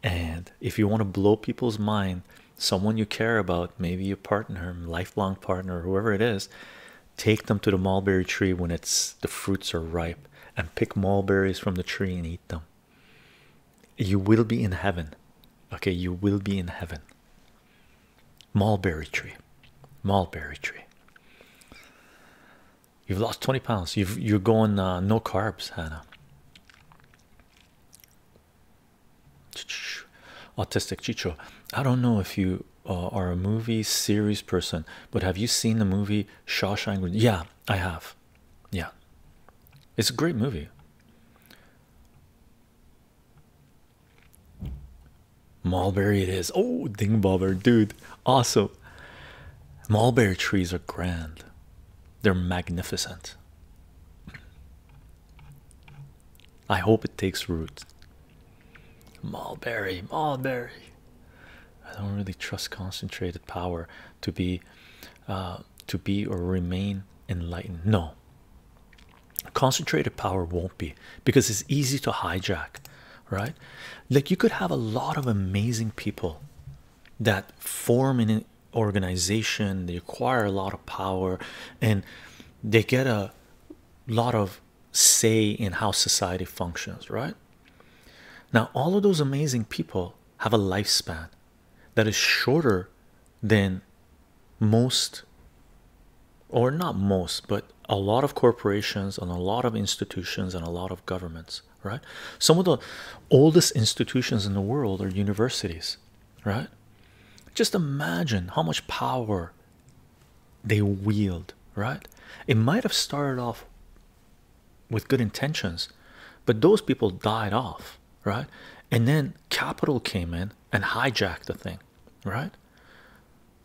and if you want to blow people's mind someone you care about maybe your partner lifelong partner whoever it is take them to the mulberry tree when it's the fruits are ripe and pick mulberries from the tree and eat them you will be in heaven. Okay, you will be in heaven. Mulberry tree, mulberry tree. You've lost 20 pounds. You've you're going uh, no carbs, Hannah. Autistic Chicho. I don't know if you uh, are a movie series person, but have you seen the movie Shawshank? Yeah, I have. Yeah. It's a great movie. Mulberry it is. Oh, Dingbobber, dude. Awesome. Mulberry trees are grand. They're magnificent. I hope it takes root. Mulberry, mulberry. I don't really trust concentrated power to be uh, to be or remain enlightened no concentrated power won't be because it's easy to hijack right like you could have a lot of amazing people that form an organization they acquire a lot of power and they get a lot of say in how society functions right now all of those amazing people have a lifespan that is shorter than most or not most but a lot of corporations and a lot of institutions and a lot of governments right some of the oldest institutions in the world are universities right just imagine how much power they wield right it might have started off with good intentions, but those people died off, right? And then capital came in and hijacked the thing, right?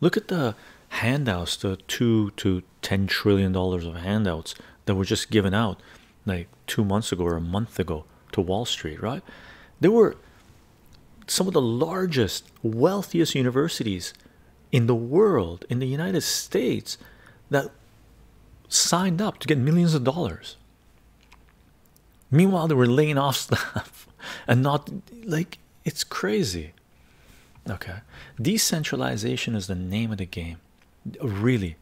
Look at the handouts, the two to ten trillion dollars of handouts that were just given out like two months ago or a month ago to Wall Street, right? There were some of the largest, wealthiest universities in the world, in the United States, that signed up to get millions of dollars. Meanwhile, they were laying off staff and not like it's crazy. Okay, decentralization is the name of the game. Really,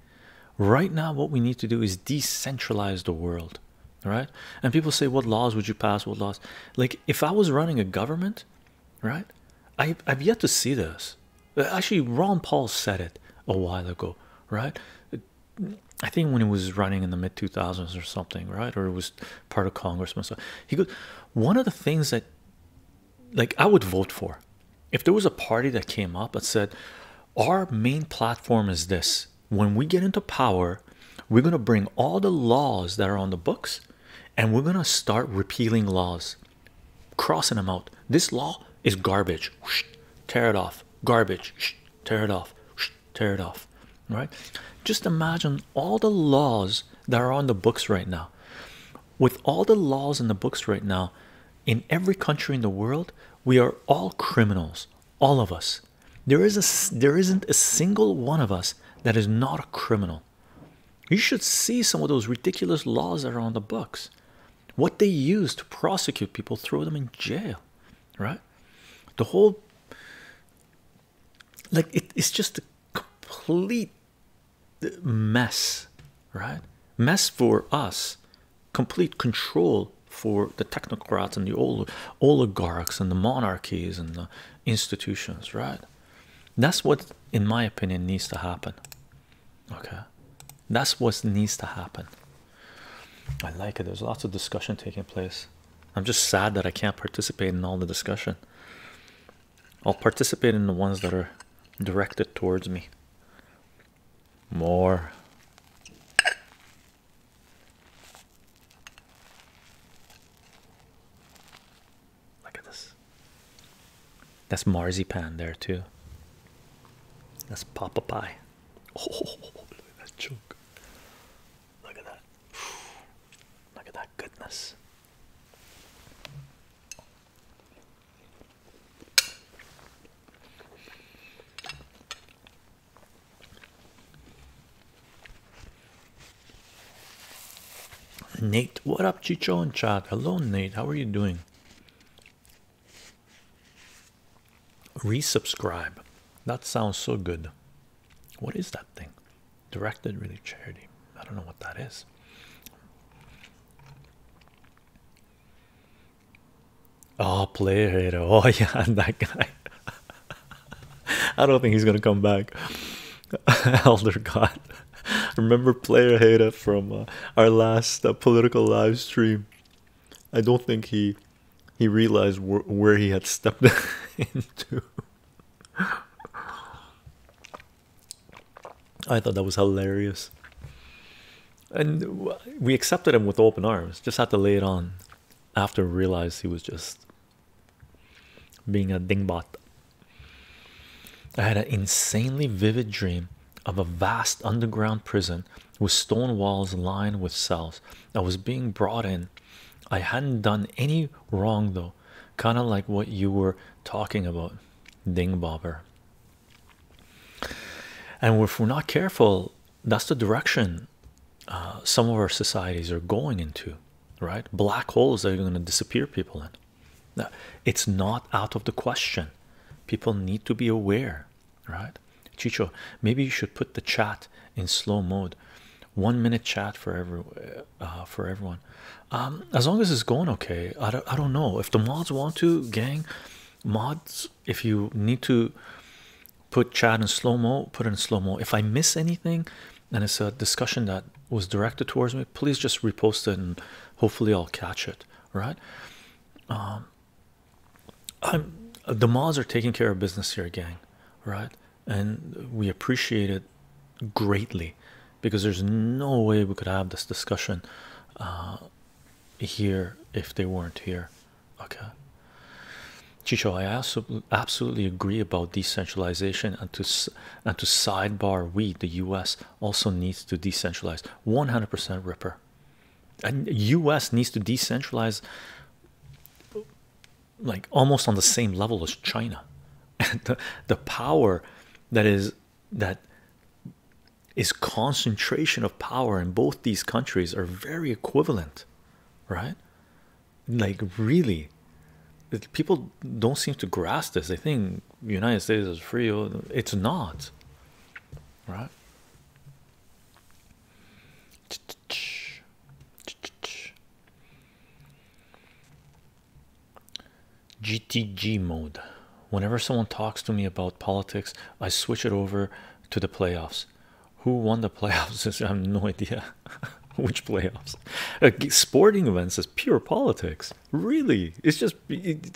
right now, what we need to do is decentralize the world, right? And people say, What laws would you pass? What laws? Like, if I was running a government, right? I, I've yet to see this. Actually, Ron Paul said it a while ago, right? I think when he was running in the mid 2000s or something, right? Or it was part of Congress. he goes, one of the things that, like, I would vote for if there was a party that came up that said, our main platform is this when we get into power, we're going to bring all the laws that are on the books and we're going to start repealing laws crossing them out. This law is garbage. Tear it off. Garbage. Tear it off. Tear it off. Right? Just imagine all the laws that are on the books right now. With all the laws in the books right now, in every country in the world, we are all criminals. All of us. There is a there isn't a single one of us that is not a criminal. You should see some of those ridiculous laws that are on the books what they use to prosecute people throw them in jail right the whole like it's just a complete mess right mess for us complete control for the technocrats and the ol oligarchs and the monarchies and the institutions right that's what in my opinion needs to happen Okay, that's what needs to happen. I like it. There's lots of discussion taking place. I'm just sad that I can't participate in all the discussion. I'll participate in the ones that are directed towards me. More. Look at this. That's marzipan there too. That's Papa Pie. Oh, look at that chunk. Look at that. Look at that goodness. Nate, what up, Chicho and chat? Hello, Nate. How are you doing? Resubscribe. That sounds so good. What is that thing? Directed really charity. I don't know what that is. Oh, player hater. Oh, yeah, that guy. I don't think he's gonna come back. Elder God. Remember player hater from uh, our last uh, political live stream. I don't think he he realized where he had stepped into. I thought that was hilarious. And we accepted him with open arms. Just had to lay it on after we realized he was just being a dingbat, I had an insanely vivid dream of a vast underground prison with stone walls lined with cells. I was being brought in. I hadn't done any wrong though, kind of like what you were talking about, Ding Bobber. And if we're not careful, that's the direction uh, some of our societies are going into, right? Black holes that are going to disappear people in. It's not out of the question. People need to be aware right? Chicho, maybe you should put the chat in slow mode, one minute chat for every uh, uh, for everyone. Um, as long as it's going okay, I don't, I don't know if the mods want to, gang mods. If you need to put chat in slow mo, put it in slow mo. If I miss anything and it's a discussion that was directed towards me, please just repost it and hopefully I'll catch it, right? Um, the mods are taking care of business here, gang, right? And we appreciate it greatly because there's no way we could have this discussion uh, here if they weren't here. Okay, Chicho, I absolutely agree about decentralization and to and to sidebar. We, the U.S., also needs to decentralize. One hundred percent, Ripper and us needs to decentralize like almost on the same level as china and the, power that is that is concentration of power in both these countries are very equivalent right like really people don't seem to grasp this they think the united states is free it's not right? GTG mode. Whenever someone talks to me about politics, I switch it over to the playoffs. Who won the playoffs? I have no idea which playoffs. Uh, sporting events is pure politics, really. It's just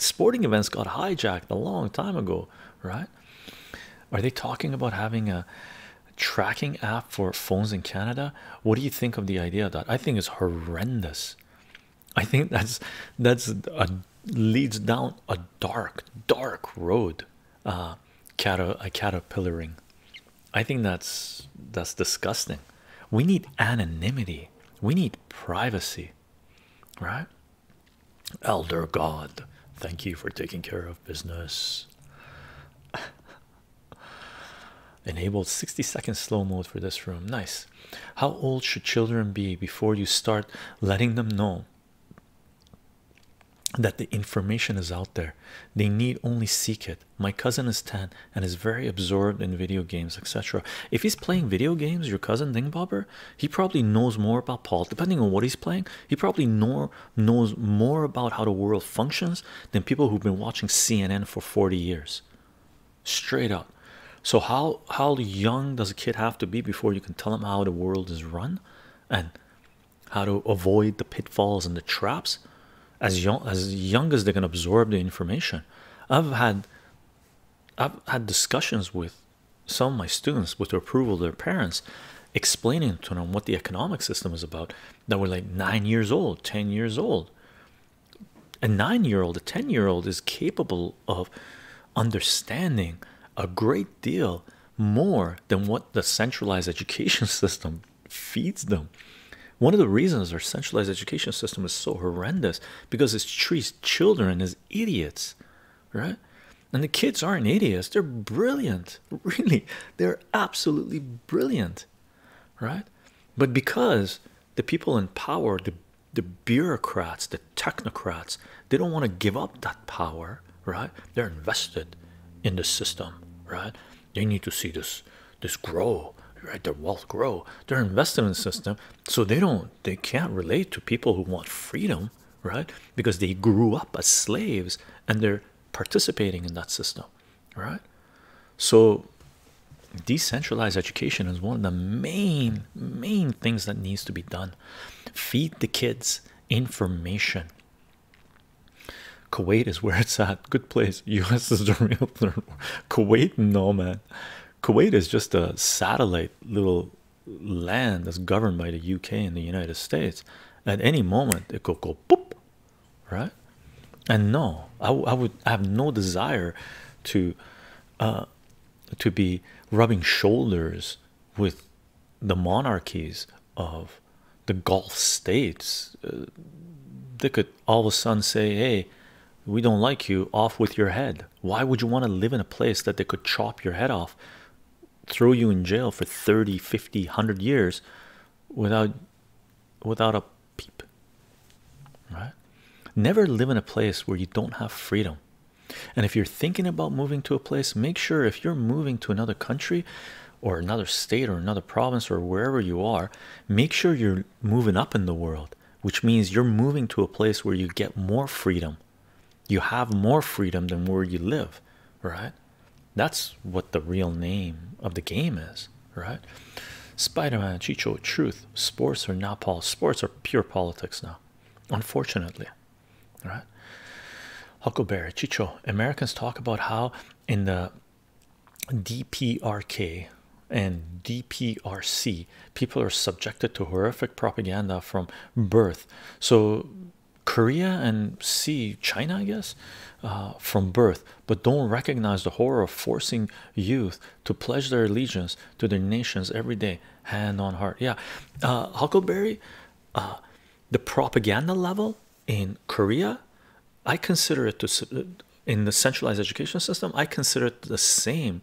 sporting events got hijacked a long time ago right? Are they talking about having a tracking app for phones in Canada? What do you think of the idea of that? I think it's horrendous. I think that's that's a leads down a dark, dark road. Uh, cater a caterpillaring. I think that's that's disgusting. We need anonymity. We need privacy, right? Elder God, thank you for taking care of business. Enabled 60 second slow mode for this room. Nice. How old should children be before you start letting them know that the information is out there? They need only seek it. My cousin is 10 and is very absorbed in video games, etc. If he's playing video games, your cousin Dingbobbler he probably knows more about politics, depending on what he's playing. He probably know, knows more about how the world functions than people who've been watching CNN for 40 years. Straight up. So how how young does a kid have to be before you can tell them how the world is run, and how to avoid the pitfalls and the traps? As young as young as they can absorb the information. I've had I've had discussions with some of my students with the approval of their parents explaining to them what the economic system is about that were like nine years old ten years old a nine-year-old a ten-year-old is capable of understanding a great deal more than what the centralized education system feeds them one of the reasons our centralized education system is so horrendous because it treats children as idiots right and the kids aren't idiots they're brilliant really they're absolutely brilliant right but because the people in power the the bureaucrats the technocrats they don't want to give up that power right they're invested in the system right they need to see this this grow right their wealth grow they're invested in the system so they don't they can't relate to people who want freedom right? Because they grew up as slaves and they're participating in that system, right? So decentralized education is one of the main main things that needs to be done. Feed the kids information. Kuwait is where it's at. Good place. US is the real third. Kuwait, no man. Kuwait is just a satellite little land that's governed by the UK and the United States, at any moment it could go boop, right? And no, I, would have no desire to uh, to be rubbing shoulders with the monarchies of the Gulf states. Uh, they could all of a sudden say, "Hey, we don't like you. Off with your head." Why would you want to live in a place that they could chop your head off, throw you in jail for 30, 50, 100 years without without a peep? Right? Never live in a place where you don't have freedom. And if you're thinking about moving to a place, make sure if you're moving to another country or another state or another province or wherever you are, make sure you're moving up in the world, which means you're moving to a place where you get more freedom you have more freedom than where you live, right? That's what the real name of the game is, right? Spider-Man, Chicho, truth, sports are not Paul. Sports are pure politics now, unfortunately, right? Huckleberry, Chicho, Americans talk about how in the DPRK and DPRC, people are subjected to horrific propaganda from birth so korea and c china i guess uh, from birth but don't recognize the horror of forcing youth to pledge their allegiance to their nations every day hand on heart yeah uh, huckleberry uh, the propaganda level in korea i consider it to in the centralized education system i consider it the same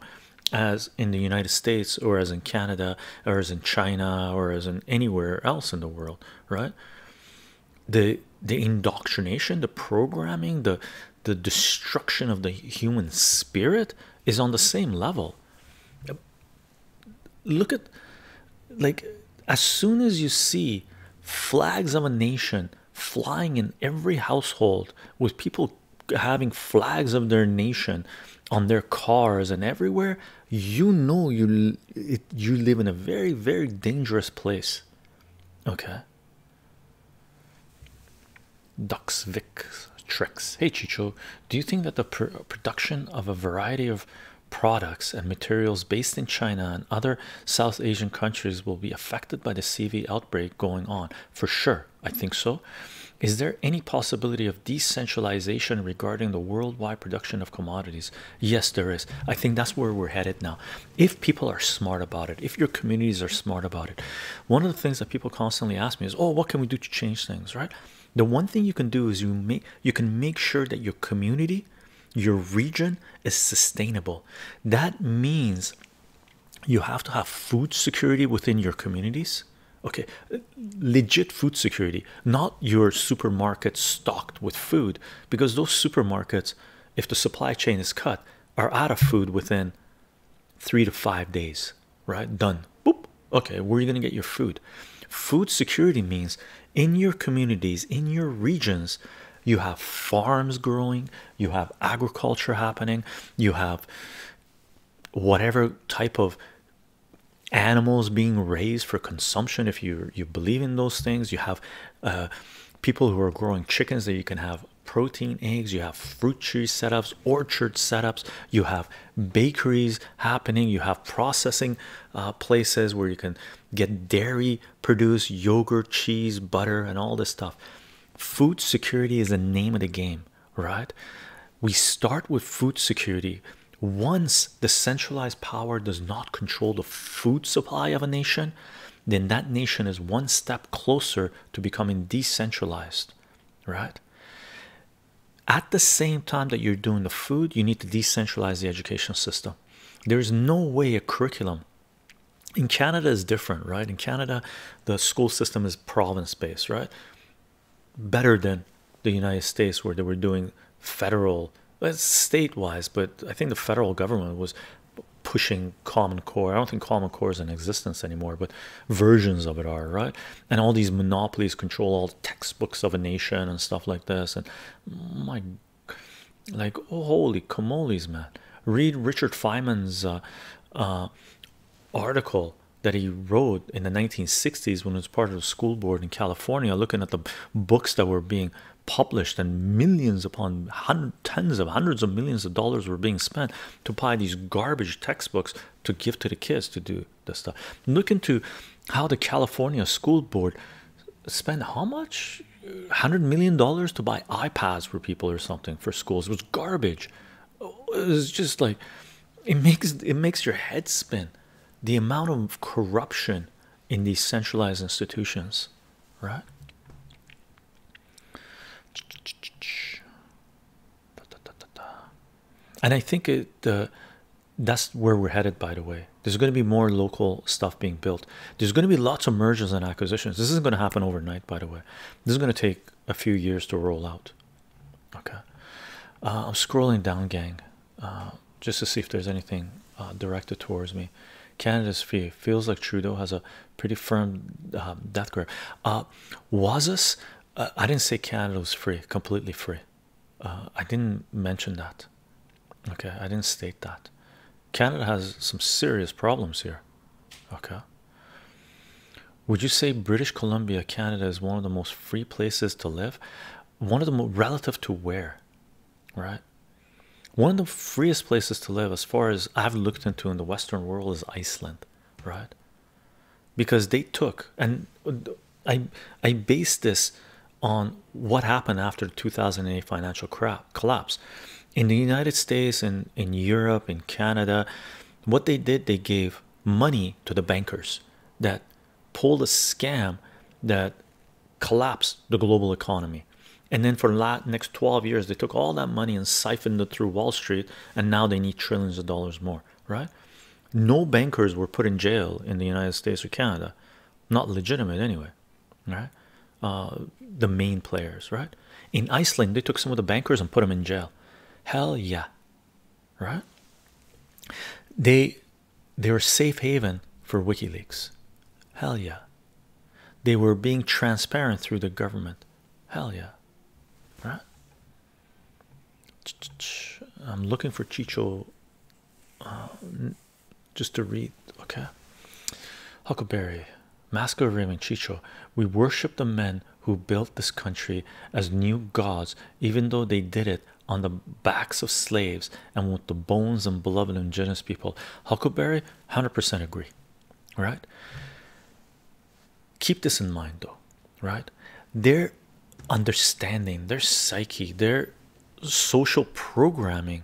as in the united states or as in canada or as in China or as in anywhere else in the world, right? The the indoctrination, the programming, the the destruction of the human spirit is on the same level. Look at like as soon as you see flags of a nation flying in every household with people having flags of their nation on their cars and everywhere you know you you live in a very very dangerous place okay duxvik tricks hey chicho do you think that the production of a variety of products and materials based in china and other south asian countries will be affected by the cv outbreak going on for sure i think so is there any possibility of decentralization regarding the worldwide production of commodities? Yes, there is. I think that's where we're headed now. If people are smart about it, if your communities are smart about it, one of the things that people constantly ask me is, "Oh, what can we do to change things?" Right? The one thing you can do is you you can make sure that your community, your region is sustainable. That means you have to have food security within your communities okay legit food security not your supermarket stocked with food because those supermarkets if the supply chain is cut are out of food within three to five days right done Boop. okay where are you going to get your food food security means in your communities in your regions you have farms growing you have agriculture happening you have whatever type of animals being raised for consumption if you you believe in those things you have uh, people who are growing chickens that you can have protein eggs you have fruit tree setups orchard setups you have bakeries happening you have processing uh, places where you can get dairy produce yogurt cheese butter and all this stuff food security is the name of the game right we start with food security once the centralized power does not control the food supply of a nation then that nation is one step closer to becoming decentralized right at the same time that you're doing the food you need to decentralize the education system there's no way a curriculum in canada is different right in canada the school system is province based right better than the United States, where they were doing federal, uh, state wise, but I think the federal government was pushing Common Core. I don't think Common Core is in existence anymore, but versions of it are, right? And all these monopolies control all textbooks of a nation and stuff like this. And my, like, holy camoles, man. Read Richard Feynman's uh, uh, article that he wrote in the 1960s when he was part of the school board in California, looking at the books that were being published and millions upon hundred, tens of hundreds of millions of dollars were being spent to buy these garbage textbooks to give to the kids to do this stuff. Look into how the California school board spent how much? $100 million to buy iPads for people or something for schools. It was garbage. It was just like it makes it makes your head spin the amount of corruption in these centralized institutions right and i think it uh, that's where we're headed by the way there's going to be more local stuff being built there's going to be lots of mergers and acquisitions this isn't going to happen overnight by the way this is going to take a few years to roll out okay uh, i'm scrolling down gang uh, just to see if there's anything uh, directed towards me. Canada's fee feels like Trudeau has a pretty firm um, death grip. Uh, was this? I didn't say Canada was free, completely free. I didn't mention that. Okay, I didn't state that. Canada has some serious problems here. Okay. Would you say British Columbia, Canada, is one of the most free places to live? one of the relative to where right one of the freest places to live as far as i've looked into in the western world is iceland right because they took and i i based this on what happened after the 2008 financial crap collapse in the united states and in, in europe in canada what they did they gave money to the bankers that pulled a scam that collapsed the global economy and then for the next 12 years they took all that money and siphoned it through wall street and now they need trillions of dollars more right no bankers were put in jail in the united states or canada not legitimate anyway right uh, the main players right in iceland they took some of the bankers and put them in jail hell yeah right they they were safe haven for wikileaks hell yeah they were being transparent through the government hell yeah right i'm looking for chicho uh, just to read okay huckleberry Masco Raymond Chicho, we worship the men who built this country as new gods, even though they did it on the backs of slaves and with the bones and blood of indigenous people. Huckleberry, 100% agree. Right? Keep this in mind, though. Right? Their understanding, their psyche, their social programming,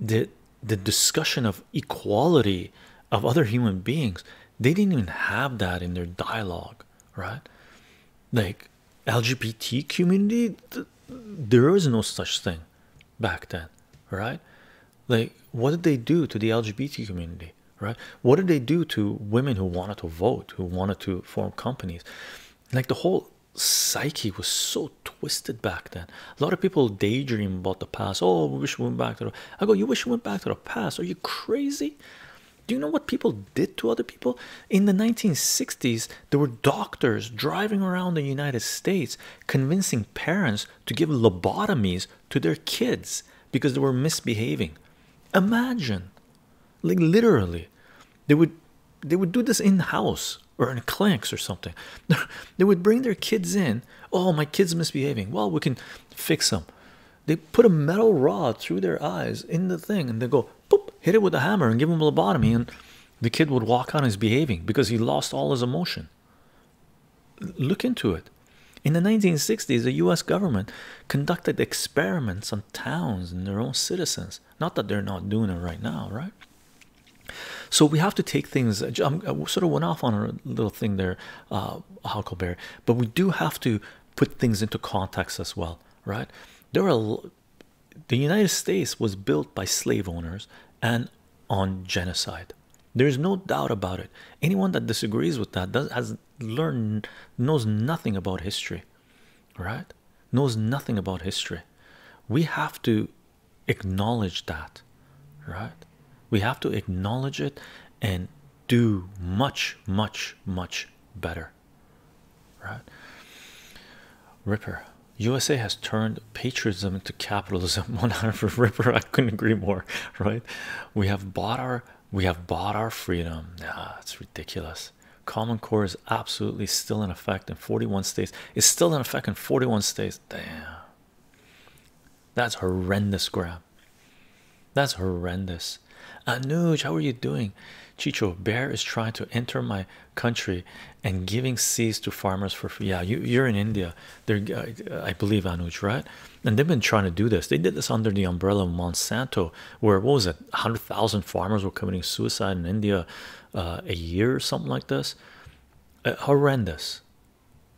the the discussion of equality of other human beings, they didn't even have that in their dialogue, right? like LGBT community, there was no such thing back then, right? Like, what did they do to the LGBT community, right? What did they do to women who wanted to vote, who wanted to form companies? Like, the whole psyche was so twisted back then. A lot of people daydream about the past. Oh, we wish we went back to the. I go, you wish you went back to the past? Are you crazy? Do you know what people did to other people? In the 1960s, there were doctors driving around the United States convincing parents to give lobotomies to their kids because they were misbehaving. Imagine, like literally, they would they would do this in-house or in clinics or something. they would bring their kids in. Oh, my kid's misbehaving. Well, we can fix them. They put a metal rod through their eyes in the thing and they go boop, hit it with a hammer and give him a lobotomy and the kid would walk on his behaving because he lost all his emotion look into it in the 1960s the u.s government conducted experiments on towns and their own citizens not that they're not doing it right now right so we have to take things i sort of went off on a little thing there uh huckleberry but we do have to put things into context as well right there are the United States was built by slave owners and on genocide. There is no doubt about it. Anyone that disagrees with that has learned knows nothing about history, right? Knows nothing about history. We have to acknowledge that, right? We have to acknowledge it and do much, much, much better right? Ripper USA has turned patriotism into capitalism. One hundred for Ripper, I couldn't agree more, right? We have bought our we have bought our freedom. Nah, it's ridiculous. Common Core is absolutely still in effect in 41 states. It's still in effect in 41 states. Damn. That's horrendous, Grab. That's horrendous. Anuj, uh, how are you doing? Chicho Bear is trying to enter my country and giving seeds to farmers for free. Yeah, you, are in India. they uh, I, believe, Anuj, right? And they've been trying to do this. They did this under the umbrella of Monsanto, where what was it? 100,000 farmers were committing suicide in India uh, a year or something like this. horrendous.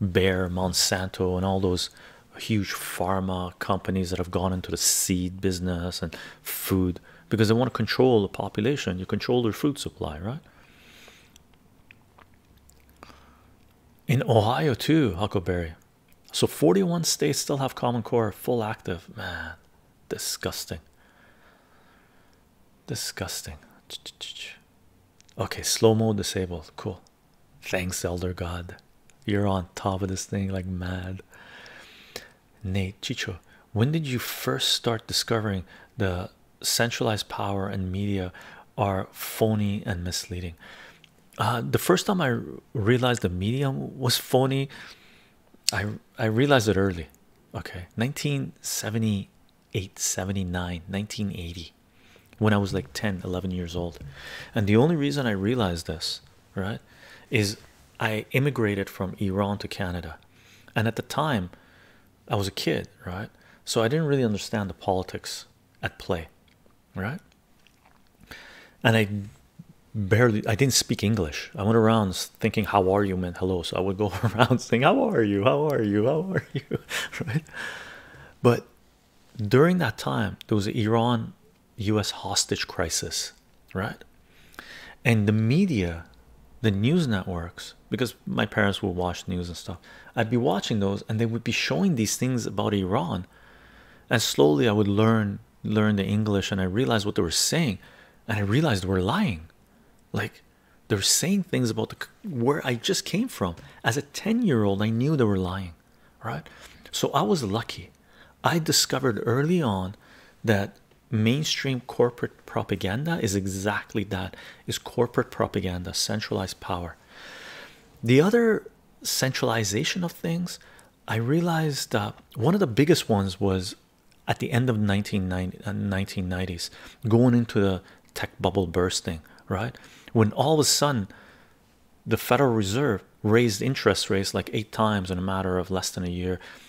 Bear, Monsanto, and all those huge pharma companies that have gone into the seed business and food because they want to control the population. You control their food supply, right? In Ohio too, Huckleberry. So 41 states still have Common Core full active. Man, disgusting. Disgusting. Okay, slow mo disabled. Cool. Thanks, Elder God. You're on top of this thing like mad. Nate Chicho, when did you first start discovering the centralized power and media are phony and misleading? Uh, the first time I realized the media was phony, I I realized it early. Okay, 1978, 79, 1980, when I was like 10, 11 years old. And the only reason I realized this right is i immigrated from iran to canada and at the time i was a kid right so i didn't really understand the politics at play right and i barely i didn't speak english i went around thinking how are you man? hello so i would go around saying how are you how are you how are you right but during that time there was iran US hostage crisis, right? And the media, the news networks, because my parents would watch news and stuff, I'd be watching those and they would be showing these things about Iran. And slowly I would learn learn the English and I realized what they were saying and I realized they were lying. Like they're saying things about the, where I just came from. As a 10 year old, I knew they were lying, right? So I was lucky. I discovered early on that mainstream corporate propaganda is exactly that is corporate propaganda centralized power the other centralization of things i realized uh, one of the biggest ones was at the end of 1990s uh, going into the tech bubble bursting right when all of a sudden the federal reserve raised interest rates like eight times in a matter of less than a year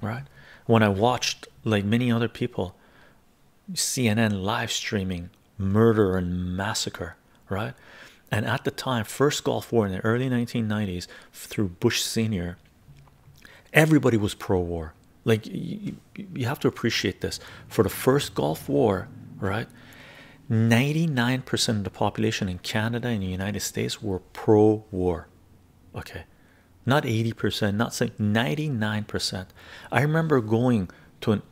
right when i watched like many other people cnn live streaming murder and massacre right and at the time first gulf war in the early 1990s through bush senior everybody was pro-war like you, have to appreciate this for the first gulf war right 99% of the population in canada and the united states were pro-war okay not 80%, not saying 99%. I remember going to a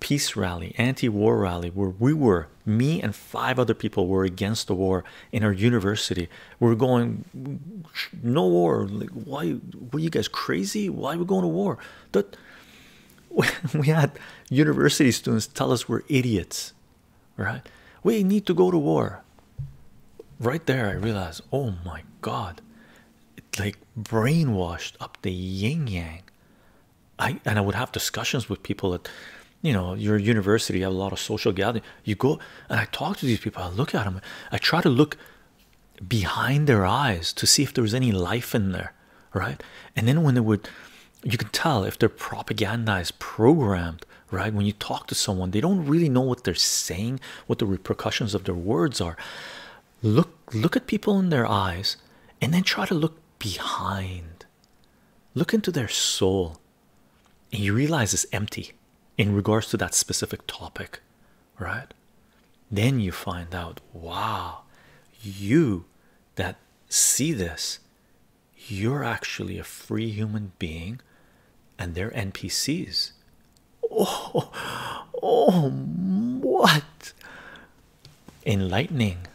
peace rally, anti-war rally, where we were, me and five other people were against the war in our university. We we're going, no war. Like, why were you guys crazy? Why are we going to war? That we had university students tell us we're idiots right? We need to go to war. Right there, I realized, oh my god, it like brainwashed up the yin yang. I and I would have discussions with people at you know your university, have a lot of social gathering. You go and I talk to these people, I look at them, I try to look behind their eyes to see if there was any life in there, right? And then when they would you can tell if they're is programmed right when you talk to someone they don't really know what they're saying what the repercussions of their words are look look at people in their eyes and then try to look behind look into their soul and you realize it's empty in regards to that specific topic right then you find out wow you that see this you're actually a free human being and their NPCs. Oh, oh, what enlightening!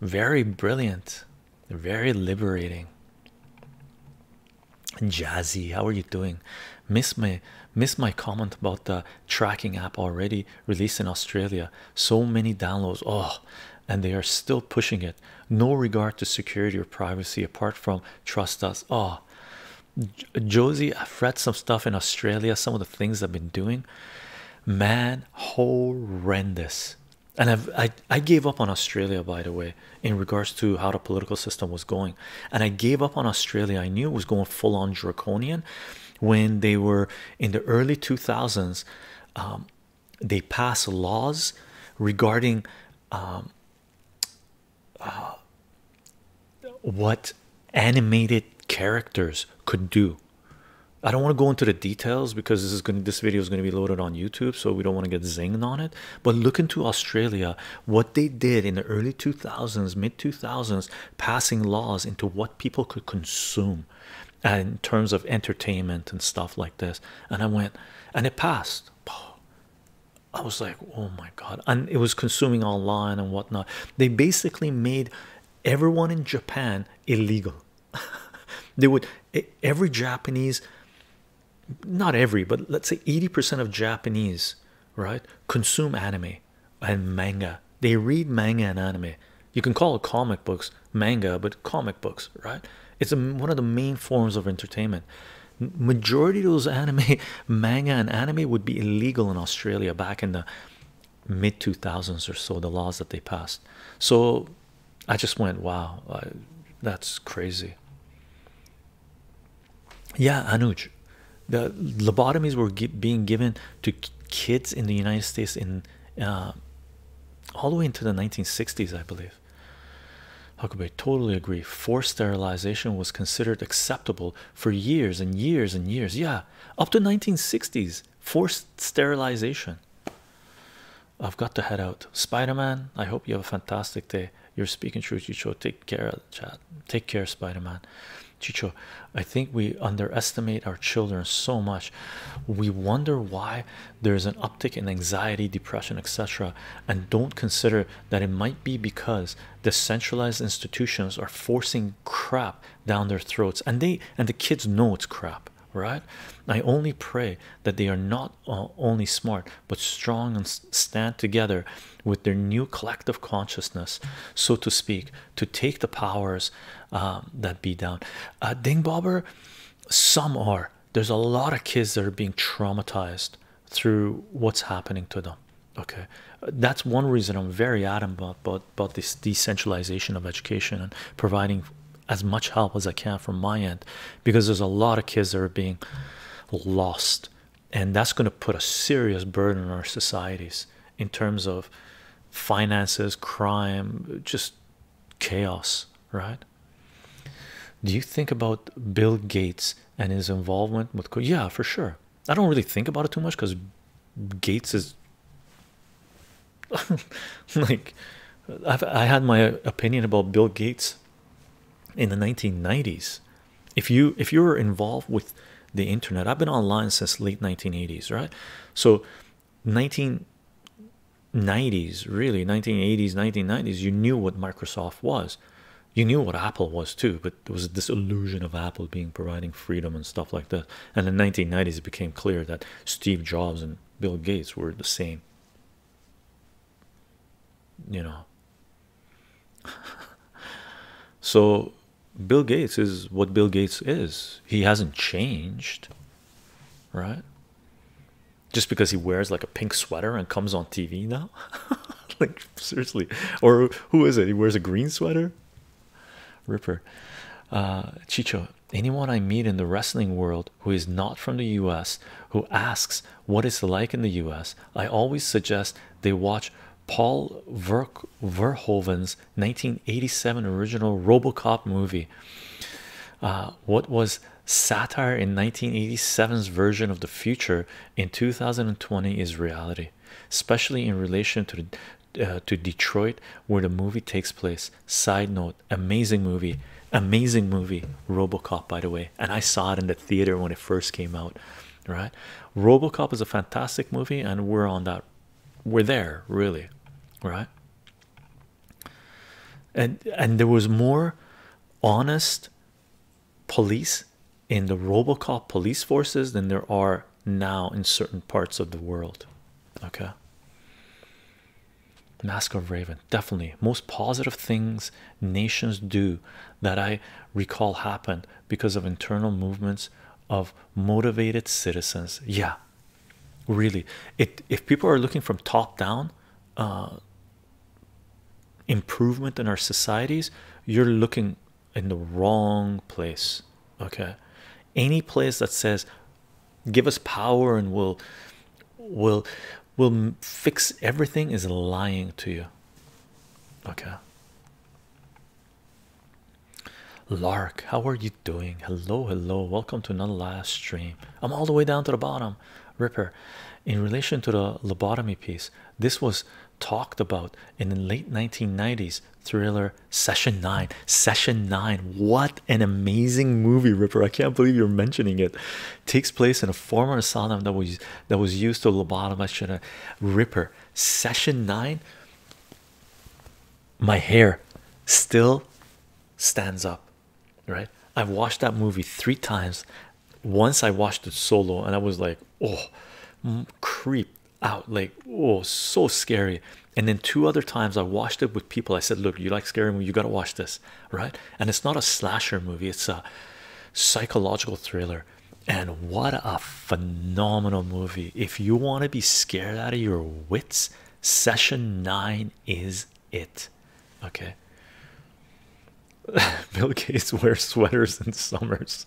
Very brilliant, very liberating. Jazzy, how are you doing? Miss my miss my comment about the tracking app already released in Australia. So many downloads. Oh, and they are still pushing it no regard to security or privacy apart from trust us oh josie i've read some stuff in australia some of the things i've been doing man horrendous and i i gave up on australia by the way in regards to how the political system was going and i gave up on australia i knew it was going full-on draconian when they were in the early 2000s um, they passed laws regarding um, uh, what animated characters could do. I don't want to go into the details because this is going this video is going to be loaded on YouTube, so we don't want to get zinged on it. But look into Australia, what they did in the early 2000s, mid 2000s, passing laws into what people could consume uh, in terms of entertainment and stuff like this. And I went, and it passed. I was like, oh my god, and it was consuming online and whatnot. They basically made everyone in Japan illegal. they would every Japanese, not every, but let's say 80% of Japanese, right, consume anime and manga. They read manga and anime. You can call it comic books manga, but comic books, right? It's one of the main forms of entertainment majority of those anime manga and anime would be illegal in australia back in the mid 2000s or so the laws that they passed so i just went wow uh, that's crazy yeah anuj the lobotomies were being given to kids in the united states in uh, all the way into the 1960s i believe Huckabee. totally agree. Forced sterilization was considered acceptable for years and years and years. Yeah, up to 1960s. Forced sterilization. I've got to head out. Spider-Man, I hope you have a fantastic day. You're speaking truth, Chicho. Take care, chat. Take care, Spider-Man. Chicho, I think we underestimate our children so much. We wonder why there's an uptick in anxiety, depression, etc., and don't consider that it might be because the centralized institutions are forcing crap down their throats and they and the kids know it's crap right i only pray that they are not uh, only smart but strong and stand together with their new collective consciousness so to speak to take the powers um, that be down uh, ding bobber some are there's a lot of kids that are being traumatized through what's happening to them okay that's one reason i'm very adamant about, about this decentralization of education and providing as much help as i can from my end because there's a lot of kids that are being lost and that's going to put a serious burden on our societies in terms of finances crime just chaos right do you think about bill gates and his involvement with yeah for sure i don't really think about it too much because gates is like i had my opinion about bill gates in the 1990s if you if you're involved with the internet i've been online since late 1980s right so 1990s really 1980s 1990s you knew what microsoft was you knew what Apple was too, but there was this illusion of Apple being providing freedom and stuff like that. And in the 1990s, it became clear that Steve Jobs and Bill Gates were the same. You know, so Bill Gates is what Bill Gates is, he hasn't changed, right? Just because he wears like a pink sweater and comes on TV now. like seriously, or who is it? He wears a green sweater. Ripper, uh, Chicho. Anyone I meet in the wrestling world who is not from the U.S. who asks what it's like in the U.S. I always suggest they watch Paul Ver Verhoeven's 1987 original RoboCop movie. Uh, what was satire in 1987's version of the future in 2020 is reality, especially in relation to uh, to Detroit, where the movie takes place. Side note: amazing movie, amazing movie. RoboCop, by the way, and I saw it in the theater when it first came out. Right, RoboCop is a fantastic movie, and we're on that. We're there, really, right? And and there was more honest police in the robocop police forces than there are now in certain parts of the world. Okay. Mask of Raven, definitely most positive things nations do that I recall happened because of internal movements of motivated citizens. Yeah, really. It if people are looking from top down, uh, improvement in our societies, you're looking in the wrong place. Okay, any place that says give us power and we'll will will fix everything is lying to you. Okay. Lark, how are you doing? Hello, hello. Welcome to another live stream. I'm all the way down to the bottom. Ripper, in relation to the lobotomy piece, this was talked about in the late 1990s thriller session 9 session 9 what an amazing movie ripper i can't believe you're mentioning it takes place in a former asylum that was that was used to lobotomize a ripper session 9 my hair still stands up right i've watched that movie three times once I watched it solo and I was like, oh, creep out, like, oh, so scary. And then two other times I watched it with people. I said, look, you like scary movie, you got to watch this, right? And it's not a slasher movie, it's a psychological thriller. And what a phenomenal movie! If you want to be scared out of your wits, session nine is it. Okay, Bill Gates wears sweaters in summers.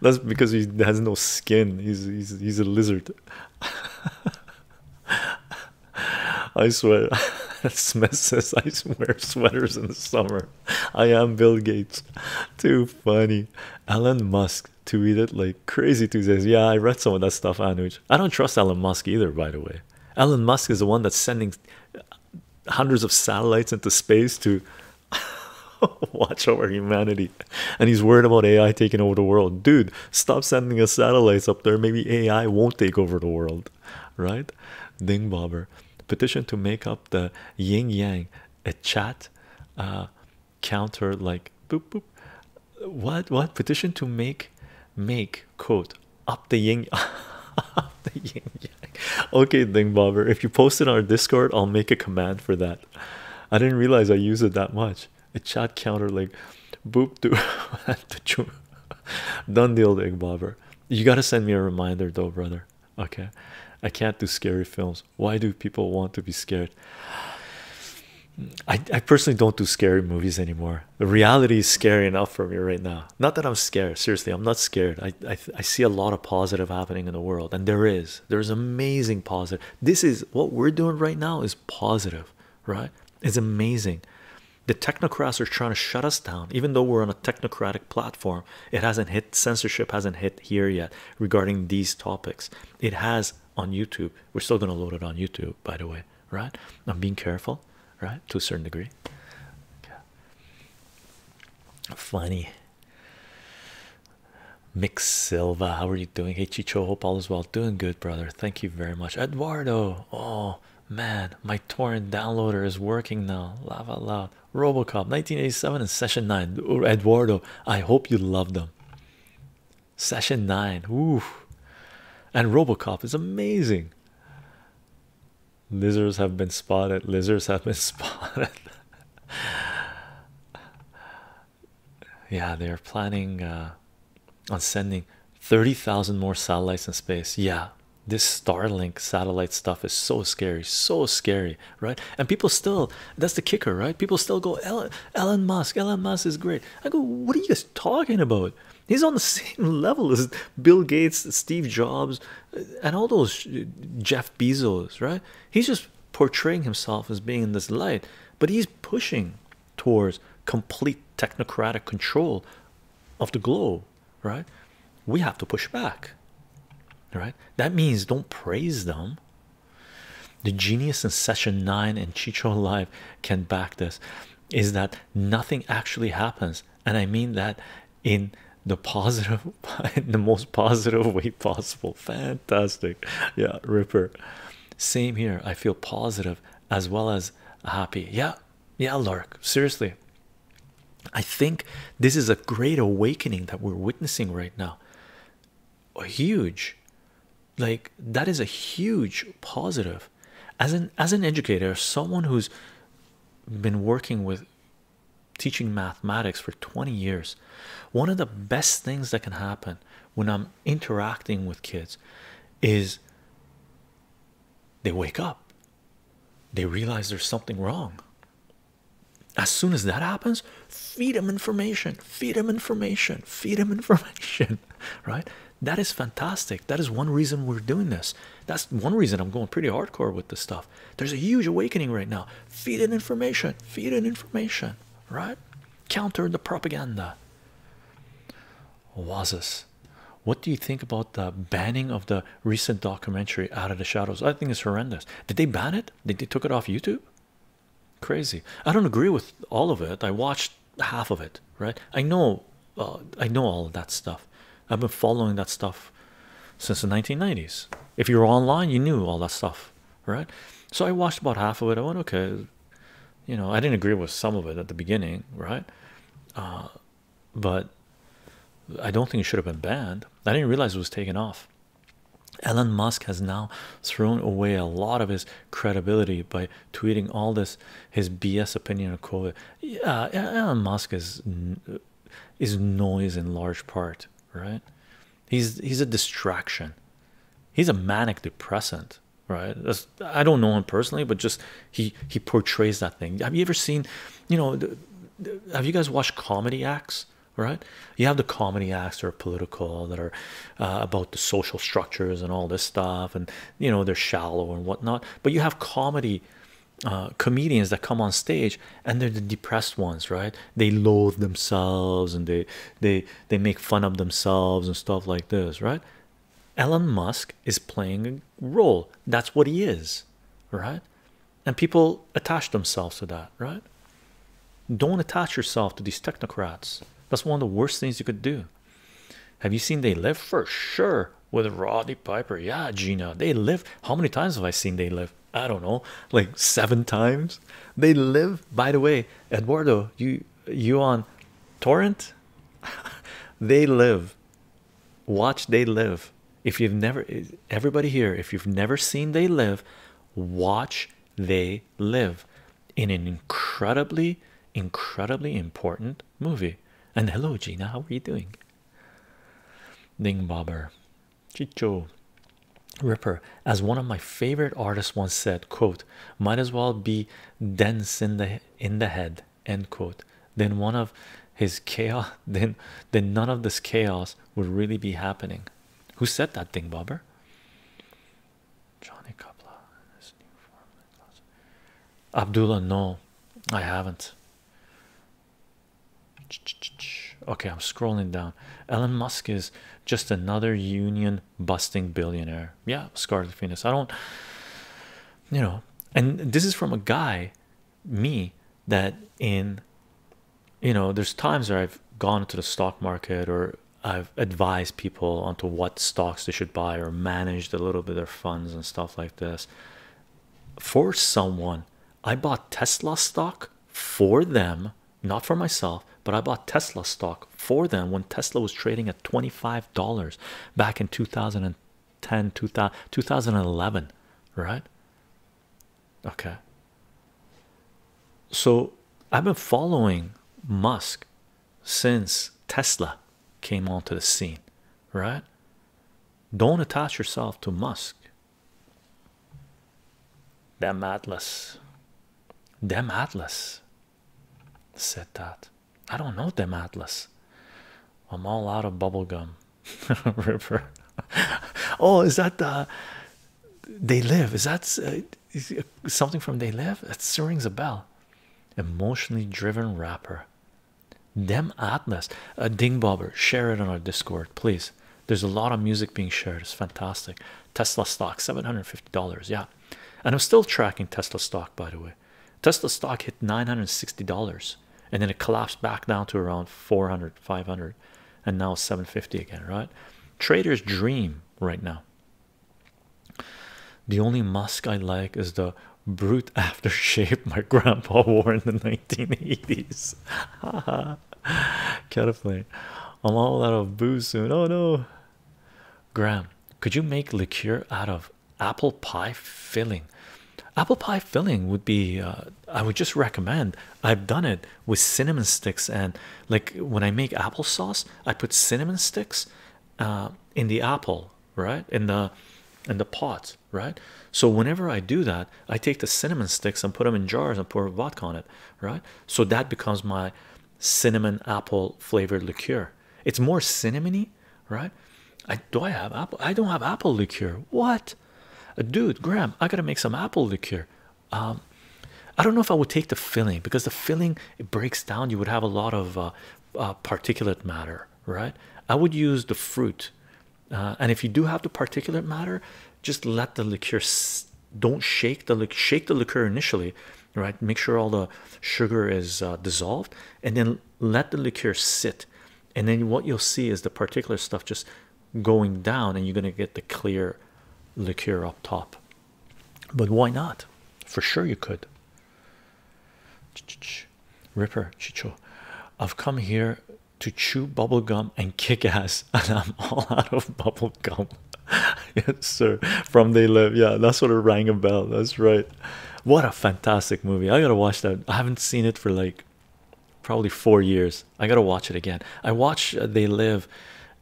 That's because he has no skin. He's he's he's a lizard. I swear. Smith says I swear sweaters in the summer. I am Bill Gates. Too funny. Elon Musk tweeted like crazy Tuesdays. Yeah, I read some of that stuff, Anuj. I don't trust Elon Musk either, by the way. Elon Musk is the one that's sending hundreds of satellites into space to watch over humanity and he's worried about ai taking over the world dude stop sending us satellites up there maybe ai won't take over the world right ding bobber petition to make up the yin yang a chat uh, counter like boop boop what what petition to make make quote up the yin up the yin okay, Ding Bobber. If you post it on our Discord, I'll make a command for that. I didn't realize I use it that much. A chat counter like boop to done deal, Ding Bobber. You gotta send me a reminder though, brother. Okay. I can't do scary films. Why do people want to be scared? I, I personally don't do scary movies anymore. The reality is scary enough for me right now. Not that I'm scared, seriously, I'm not scared. I I, see a lot of positive happening in the world, and there is there's amazing positive. This is what we're doing right now is positive, right? It's amazing. The technocrats are trying to shut us down, even though we're on a technocratic platform. It hasn't hit censorship hasn't hit here yet regarding these topics. It has on YouTube. We're still gonna load it on YouTube, by the way, right? I'm being careful, right? To a certain degree. Funny. Mick Silva, how are you doing? Hey Chicho, hope all is well. Doing good, brother. Thank you very much. Eduardo, oh man, my torrent downloader is working now. Lava loud. Robocop 1987 and session 9. Eduardo, I hope you love them. Session 9. Ooh. And Robocop is amazing. Lizards have been spotted. Lizards have been spotted. yeah, they're planning uh, on sending 30,000 more satellites in space. Yeah, this Starlink satellite stuff is so scary, so scary, right? And people still, that's the kicker, right? People still go, Elon, Elon Musk, Elon Musk is great. I go, what are you guys talking about? He's on the same level as Bill Gates, Steve Jobs, and all those Jeff Bezos, right? He's just portraying himself as being in this light, but he's pushing towards complete technocratic control of the globe, right? We have to push back, right? That means don't praise them. The genius in session nine and Chicho Live can back this is that nothing actually happens, and I mean that in the positive the most positive way possible fantastic yeah ripper same here i feel positive as well as happy yeah yeah lark seriously i think this is a great awakening that we're witnessing right now a huge like that is a huge positive as an as an educator someone who's been working with teaching mathematics for 20 years. One of the best things that can happen when I'm interacting with kids is they wake up, they realize there's something wrong. As soon as that happens, feed them information, feed them information, feed them information, right? That is fantastic. That is one reason we're doing this. That's one reason I'm going pretty hardcore with this stuff. There's a huge awakening right now. Feed in information, feed in information, right? Counter the propaganda. Wazis, what do you think about the banning of the recent documentary Out of the Shadows? I think it's horrendous. Did they ban it? Did they took it off YouTube? Crazy. I don't agree with all of it. I watched half of it, right? I know, uh, I know all of that stuff. I've been following that stuff since the 1990s. If you were online, you knew all that stuff, right? So I watched about half of it. I went, okay, you know, I didn't agree with some of it at the beginning, right? Uh, but I don't think it should have been banned. I didn't realize it was taken off. Elon Musk has now thrown away a lot of his credibility by tweeting all this his BS opinion of COVID. Yeah, Elon Musk is is noise in large part right? He's he's a distraction. He's a manic depressant, right? I don't know him personally, but just he he portrays that thing. Have you ever seen, you know, have you guys watched comedy acts? Right? You have the comedy acts or political, that are uh, about the social structures and all this stuff, and you know they're shallow and whatnot. But you have comedy uh, comedians that come on stage and they're the depressed ones right they loathe themselves and they they they make fun of themselves and stuff like this right Elon Musk is playing a role that's what he is right and people attach themselves to that right don't attach yourself to these technocrats that's one of the worst things you could do have you seen they live for sure with Roddy Piper yeah Gina they live how many times have I seen they live I don't know, like seven times. They live, by the way, Eduardo, you you on torrent? they live. Watch They Live. If you've never everybody here, if you've never seen They Live, watch They Live in an incredibly, incredibly important movie. And hello Gina, how are you doing? Ding bobber. Chicho Ripper, as one of my favorite artists once said, quote, might as well be dense in the in the head, end quote. Then one of his chaos then then none of this chaos would really be happening. Who said that thing, Bobber? Johnny Kapla Abdullah, no, I haven't. Okay, I'm scrolling down. Elon Musk is just another union busting billionaire. Yeah, Scarlet Venus. I don't, you know, and this is from a guy, me, that in, you know, there's times where I've gone into the stock market or I've advised people onto what stocks they should buy or managed a little bit their funds and stuff like this. For someone, I bought Tesla stock for them, not for myself, but I bought Tesla stock for them when Tesla was trading at $25 back in 2010, 2011, right? Okay. So I've been following Musk since Tesla came onto the scene, right? Don't attach yourself to Musk. Them Atlas, them Atlas said that. I don't know them Atlas. I'm all out of bubblegum. River. oh, is that uh, they live? Is that uh, something from they live? It rings a bell. Emotionally driven rapper. Them Atlas, a uh, Share it on our Discord, please. There's a lot of music being shared. It's fantastic. Tesla stock, seven hundred fifty dollars. Yeah, and I'm still tracking Tesla stock. By the way, Tesla stock hit nine hundred sixty dollars, and then it collapsed back down to around 400 500 and now 750 again. Right? Traders dream right now. The only Musk I like is the brute aftershave my grandpa wore in the 1980s. Catapult. I'm all out of booze soon. Oh no. Graham, could you make liqueur out of apple pie filling? Apple pie filling would be, uh, I would just recommend. I've done it with cinnamon sticks, and like when I make applesauce, I put cinnamon sticks uh, in the apple, right? In the in the pot, right? So whenever I do that, I take the cinnamon sticks and put them in jars and pour vodka on it, right? So that becomes my cinnamon apple flavored liqueur. It's more cinnamony, right? I do I have apple? I don't have apple liqueur. What, uh, dude, Graham? I gotta make some apple liqueur. Um, I don't know if I would take the filling because the filling it breaks down. You would have a lot of uh, uh, particulate matter, right? I would use the fruit, and if you do have the particulate matter, just let the liqueur don't shake the shake the liqueur initially right make sure all the sugar is uh, dissolved and then let the liqueur sit and then what you'll see is the particular stuff just going down and you're going to get the clear liqueur up top but why not for sure you could ripper chicho i've come here to chew bubblegum and kick ass, and I'm all out of bubblegum. yes, sir. From They Live. Yeah, that's what it rang a bell. That's right. What a fantastic movie. I gotta watch that. I haven't seen it for like probably four years. I gotta watch it again. I watch uh, They Live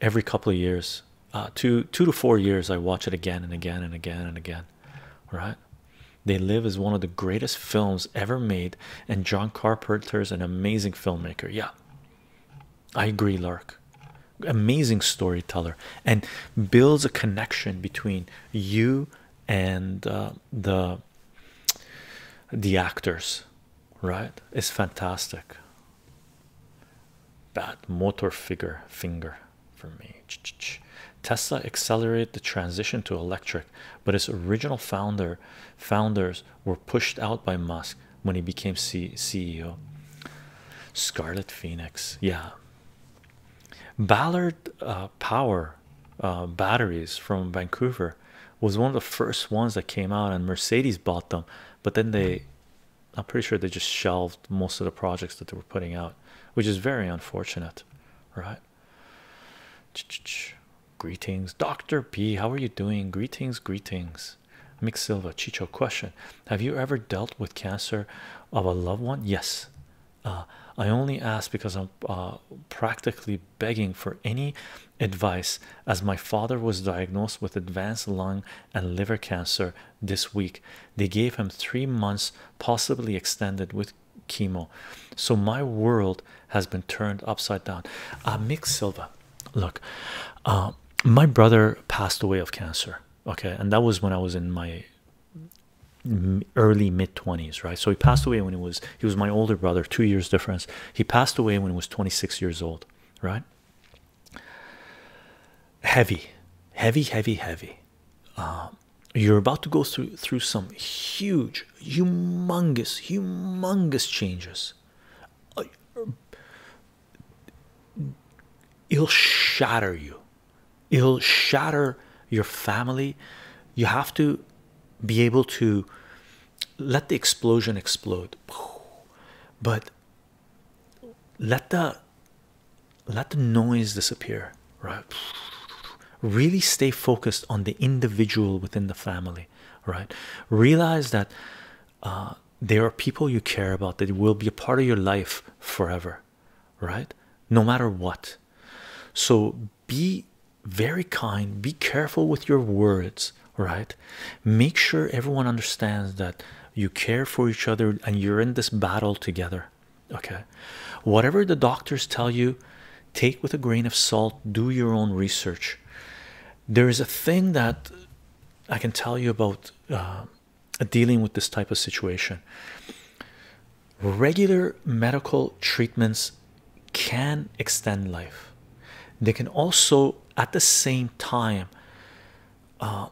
every couple of years. Uh, two two to four years I watch it again and again and again and again. Right? They Live is one of the greatest films ever made, and John Carpenter's an amazing filmmaker. Yeah, I agree, Lark. Amazing storyteller and builds a connection between you and uh, the the actors, right? It's fantastic. Bad motor figure finger for me. Tesla accelerated the transition to electric, but its original founder founders were pushed out by Musk when he became CEO. Scarlet Phoenix, yeah. Ballard uh, Power uh, batteries from Vancouver was one of the first ones that came out, and Mercedes bought them, but then they. I'm pretty sure they just shelved most of the projects that they were putting out, which is very unfortunate, right? Greetings, Dr. P. How are you doing? Greetings, greetings. Mix Silva, Chicho, question Have you ever dealt with cancer of a loved one? Yes. Uh, I only ask because I'm uh, practically begging for any advice as my father was diagnosed with advanced lung and liver cancer this week. They gave him three months, possibly extended with chemo. So my world has been turned upside down. Uh, Mix Silva, look uh, my brother passed away of cancer okay and that was when i was in my early mid 20s right so he passed away when he was he was my older brother two years difference he passed away when he was 26 years old right heavy heavy heavy heavy uh, you're about to go through through some huge humongous humongous changes it'll shatter you it'll shatter your family you have to be able to let the explosion explode but let the let the noise disappear right really stay focused on the individual within the family right realize that uh, there are people you care about that will be a part of your life forever, right? No matter what. So be very kind, be careful with your words, right? Make sure everyone understands that you care for each other and you're in this battle together, okay? Whatever the doctors tell you, take with a grain of salt, do your own research there is a thing that I can tell you about uh, dealing with this type of situation. Regular medical treatments can extend life. They can also, at the same time, uh,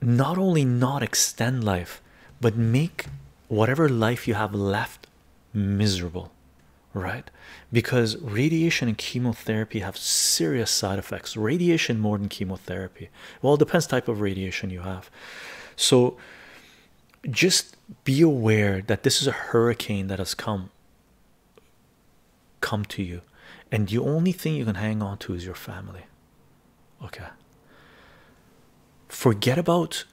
not only not extend life, but make whatever life you have left miserable right because radiation and chemotherapy have serious side effects radiation more than chemotherapy well it depends type of radiation you have so just be aware that this is a hurricane that has come come to you and the only thing you can hang on to is your family okay forget about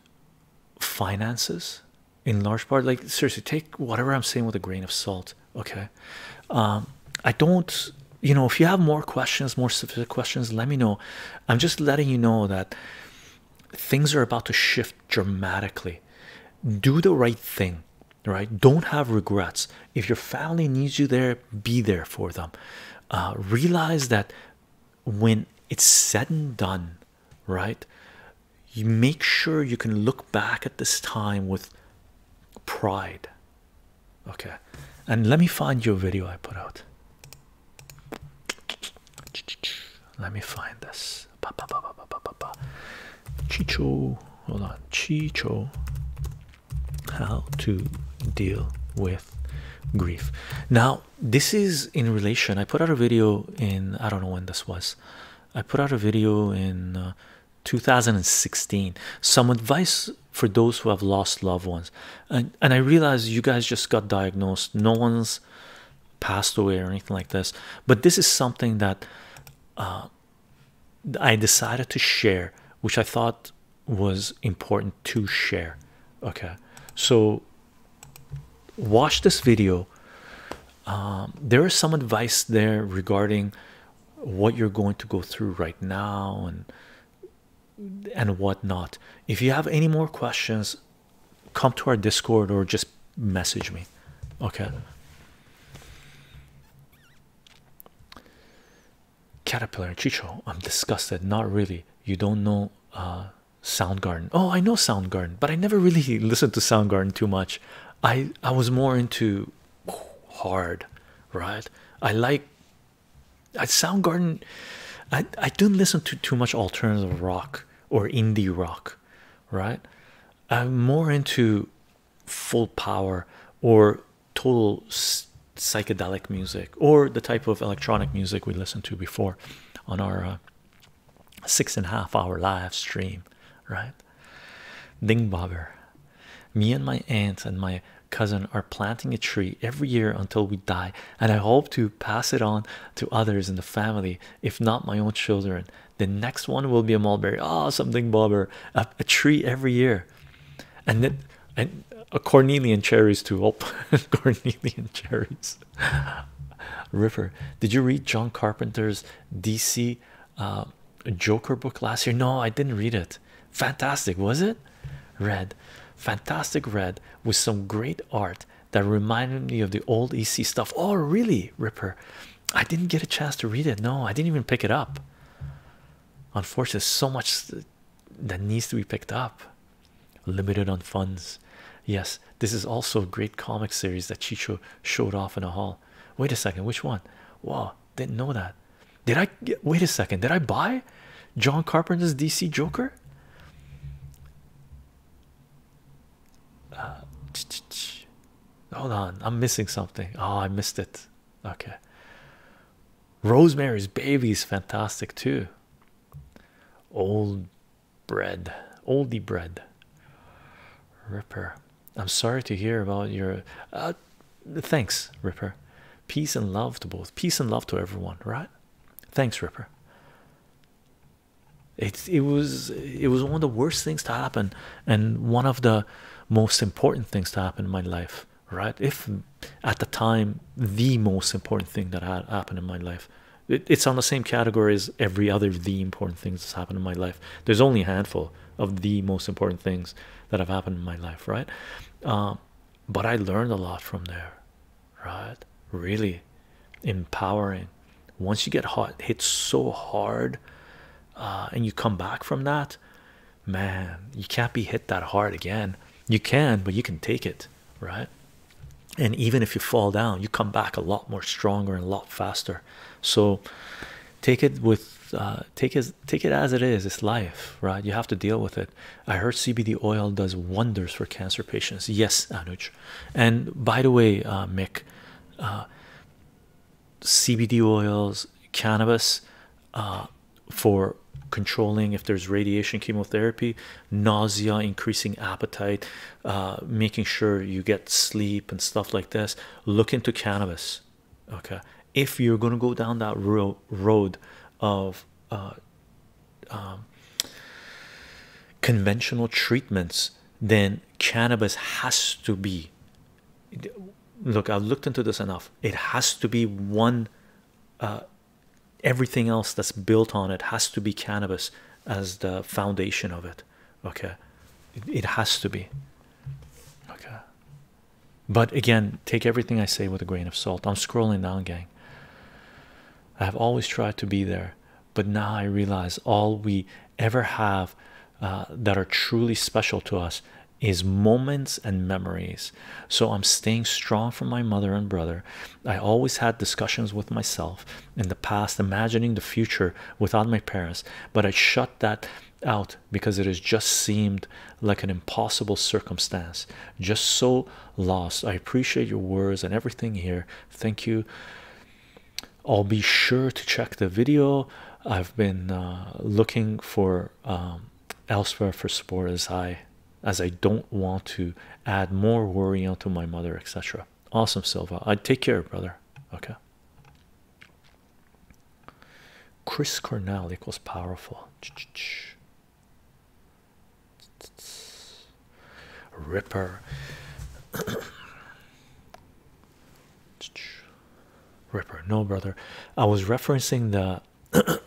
finances in large part like seriously take whatever i'm saying with a grain of salt okay um, i don't you know if you have more questions more specific questions let me know i'm just letting you know that things are about to shift dramatically do the right thing right don't have regrets if your family needs you there be there for them uh, realize that when it's said and done right? You make sure you can look back at this time with pride, okay? And let me find your video I put out. Let me find this. Ba, Chicho, hold on. Chicho, how to deal with grief. Now, this is in relation. I put out a video in, I don't know when this was, I put out a video in uh, 2016. Some advice for those who have lost loved ones. And, and I realize you guys just got diagnosed, no one's passed away or anything like this. But this is something that uh, I decided to share, which I thought was important to share. Okay, so watch this video um, there is some advice there regarding what you're going to go through right now and and whatnot if you have any more questions come to our discord or just message me okay caterpillar chicho i'm disgusted not really you don't know uh Soundgarden. Oh, I know Soundgarden, but I never really listened to Soundgarden too much. I I was more into hard, right? I like I Soundgarden. I I didn't listen to too much alternative rock or indie rock, right? I'm more into full power or total psychedelic music or the type of electronic music we listened to before on our uh, six and a half hour live stream, right? Ding bobber. Me and my aunt and my cousin are planting a tree every year until we die, and I hope to pass it on to others in the family, if not my own children. The next one will be a mulberry. Oh, ah, something bobber, a, tree every year, and then and a cornelian cherries too. Oh, cornelian cherries. Ripper did you read John Carpenter's DC uh, Joker book last year no I didn't read it fantastic was it red fantastic red with some great art that reminded me of the old EC stuff oh really Ripper I didn't get a chance to read it no I didn't even pick it up unfortunately so much that needs to be picked up limited on funds Yes, this is also a great comic series that Chicho showed off in the hall. Wait a second, which one? Wow, didn't know that. Did I wait a second? Did I buy John Carpenter's DC Joker? Uh, hold on, I'm missing something. Oh, I missed it. Okay, Rosemary's Baby is fantastic too. Old bread, oldie bread. Ripper, I'm sorry to hear about your. Uh, thanks, Ripper. Peace and love to both. Peace and love to everyone. Right? Thanks, Ripper. It it was it was one of the worst things to happen, and one of the most important things to happen in my life. Right? If at the time the most important thing that had happened in my life it's on the same category as every other the important things that's happened in my life there's only a handful of the most important things that have happened in my life right um, but i learned a lot from there right really empowering once you get hit, hit so hard uh, and you come back from that man you can't be hit that hard again you can but you can take it right and even if you fall down you come back a lot more stronger and a lot faster so take it with uh, take it take it as it is it's life right you have to deal with it i heard cbd oil does wonders for cancer patients yes anuj and by the way uh, mick uh, cbd oils cannabis for controlling if there's radiation chemotherapy nausea increasing appetite uh, making sure you get sleep and stuff like this, look into cannabis. Okay, if you're gonna go down that road of uh, um, conventional treatments, then cannabis has to be. Look, I've looked into this enough. It has to be one. Uh, everything else that's built on it has to be cannabis as the foundation of it okay it, has to be okay but again take everything i say with a grain of salt i'm scrolling now, gang i have always tried to be there but now i realize all we ever have uh, that are truly special to us is moments and memories so i'm staying strong for my mother and brother i always had discussions with myself in the past, imagining the future without my parents, but I shut that out because it has just seemed like an impossible circumstance. Just so lost. I appreciate your words and everything here. Thank you. I'll be sure to check the video. I've been uh, looking for um, elsewhere for support as I as I don't want to add more worry onto my mother, etc. Awesome, Silva. I uh, take care, brother. Okay. Chris Cornell equals powerful. Ripper. Ripper. No, brother. I was referencing the.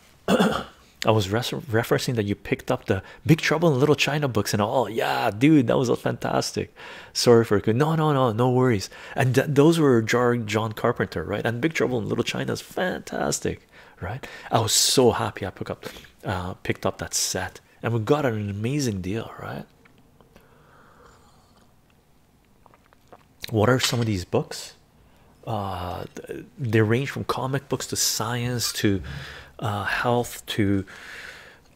I was referencing that you picked up the Big Trouble in Little China books and all. Yeah, dude, that was fantastic sorry for it no no no no worries and those were john carpenter right and big trouble in little china is fantastic right i was so happy i picked up uh, picked up that set and we got an amazing deal right what are some of these books uh, they range from comic books to science to uh, health to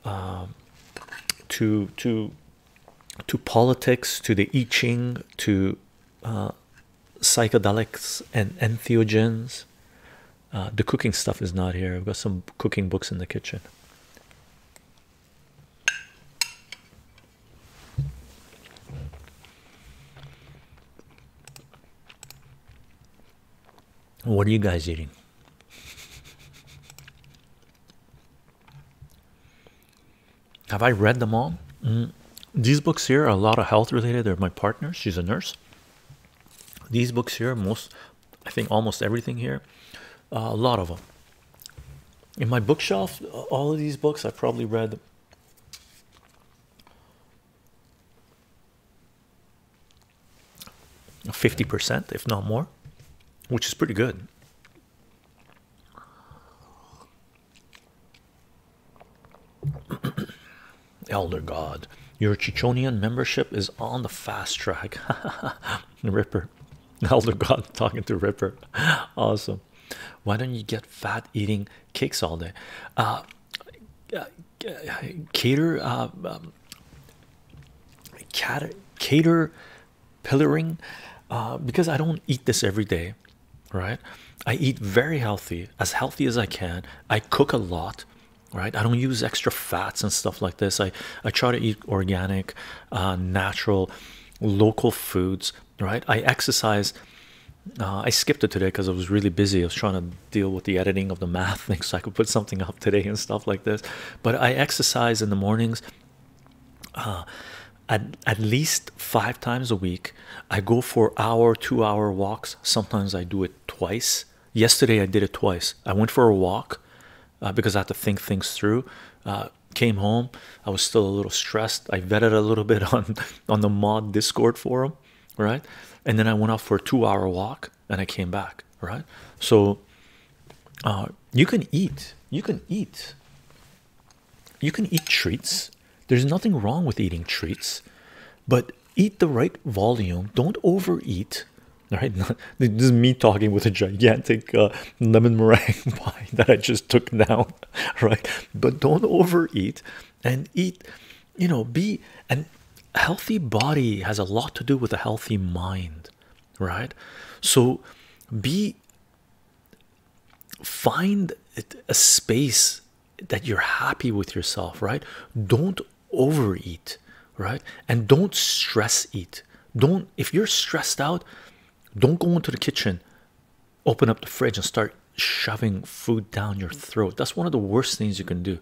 um, to to to politics, to the I Ching, to uh, psychedelics and entheogens. Uh, the cooking stuff is not here. I've got some cooking books in the kitchen. What are you guys eating? Have I read them all? Mm. These books here are a lot of health related. They're my partner. She's a nurse. These books here, most, I think almost everything here, uh, a lot of them. In my bookshelf, all of these books I've probably read 50%, if not more, which is pretty good. Elder God, your Chichonian membership is on the fast track. Ripper, Elder God talking to Ripper. Awesome. Why don't you get fat eating cakes all day? Uh, uh, uh, um, cater, cater pillaring uh, because I don't eat this every day, right? I eat very healthy, as healthy as I can. I cook a lot, right? I don't use extra fats and stuff like this. I I try to eat organic, uh, natural, local foods, right? I exercise. Uh, I skipped it today because I was really busy. I was trying to deal with the editing of the math thing so I could put something up today and stuff like this. But I exercise in the mornings uh, at, at least five times a week i go for hour two hour walks sometimes i do it twice yesterday i did it twice i went for a walk uh, because i have to think things through uh, came home i was still a little stressed i vetted a little bit on on the mod discord forum right and then i went out for a two hour walk and i came back right so uh, you can eat you can eat you can eat treats there's nothing wrong with eating treats but eat the right volume don't overeat right this is me talking with a gigantic uh, lemon meringue pie that i just took now, right but don't overeat and eat you know be and healthy body has a lot to do with a healthy mind right? So be find a space that you're happy with yourself, right? Don't overeat, right? And don't stress eat. Don't if you're stressed out, don't go into the kitchen, open up the fridge, and start shoving food down your throat. That's one of the worst things you can do.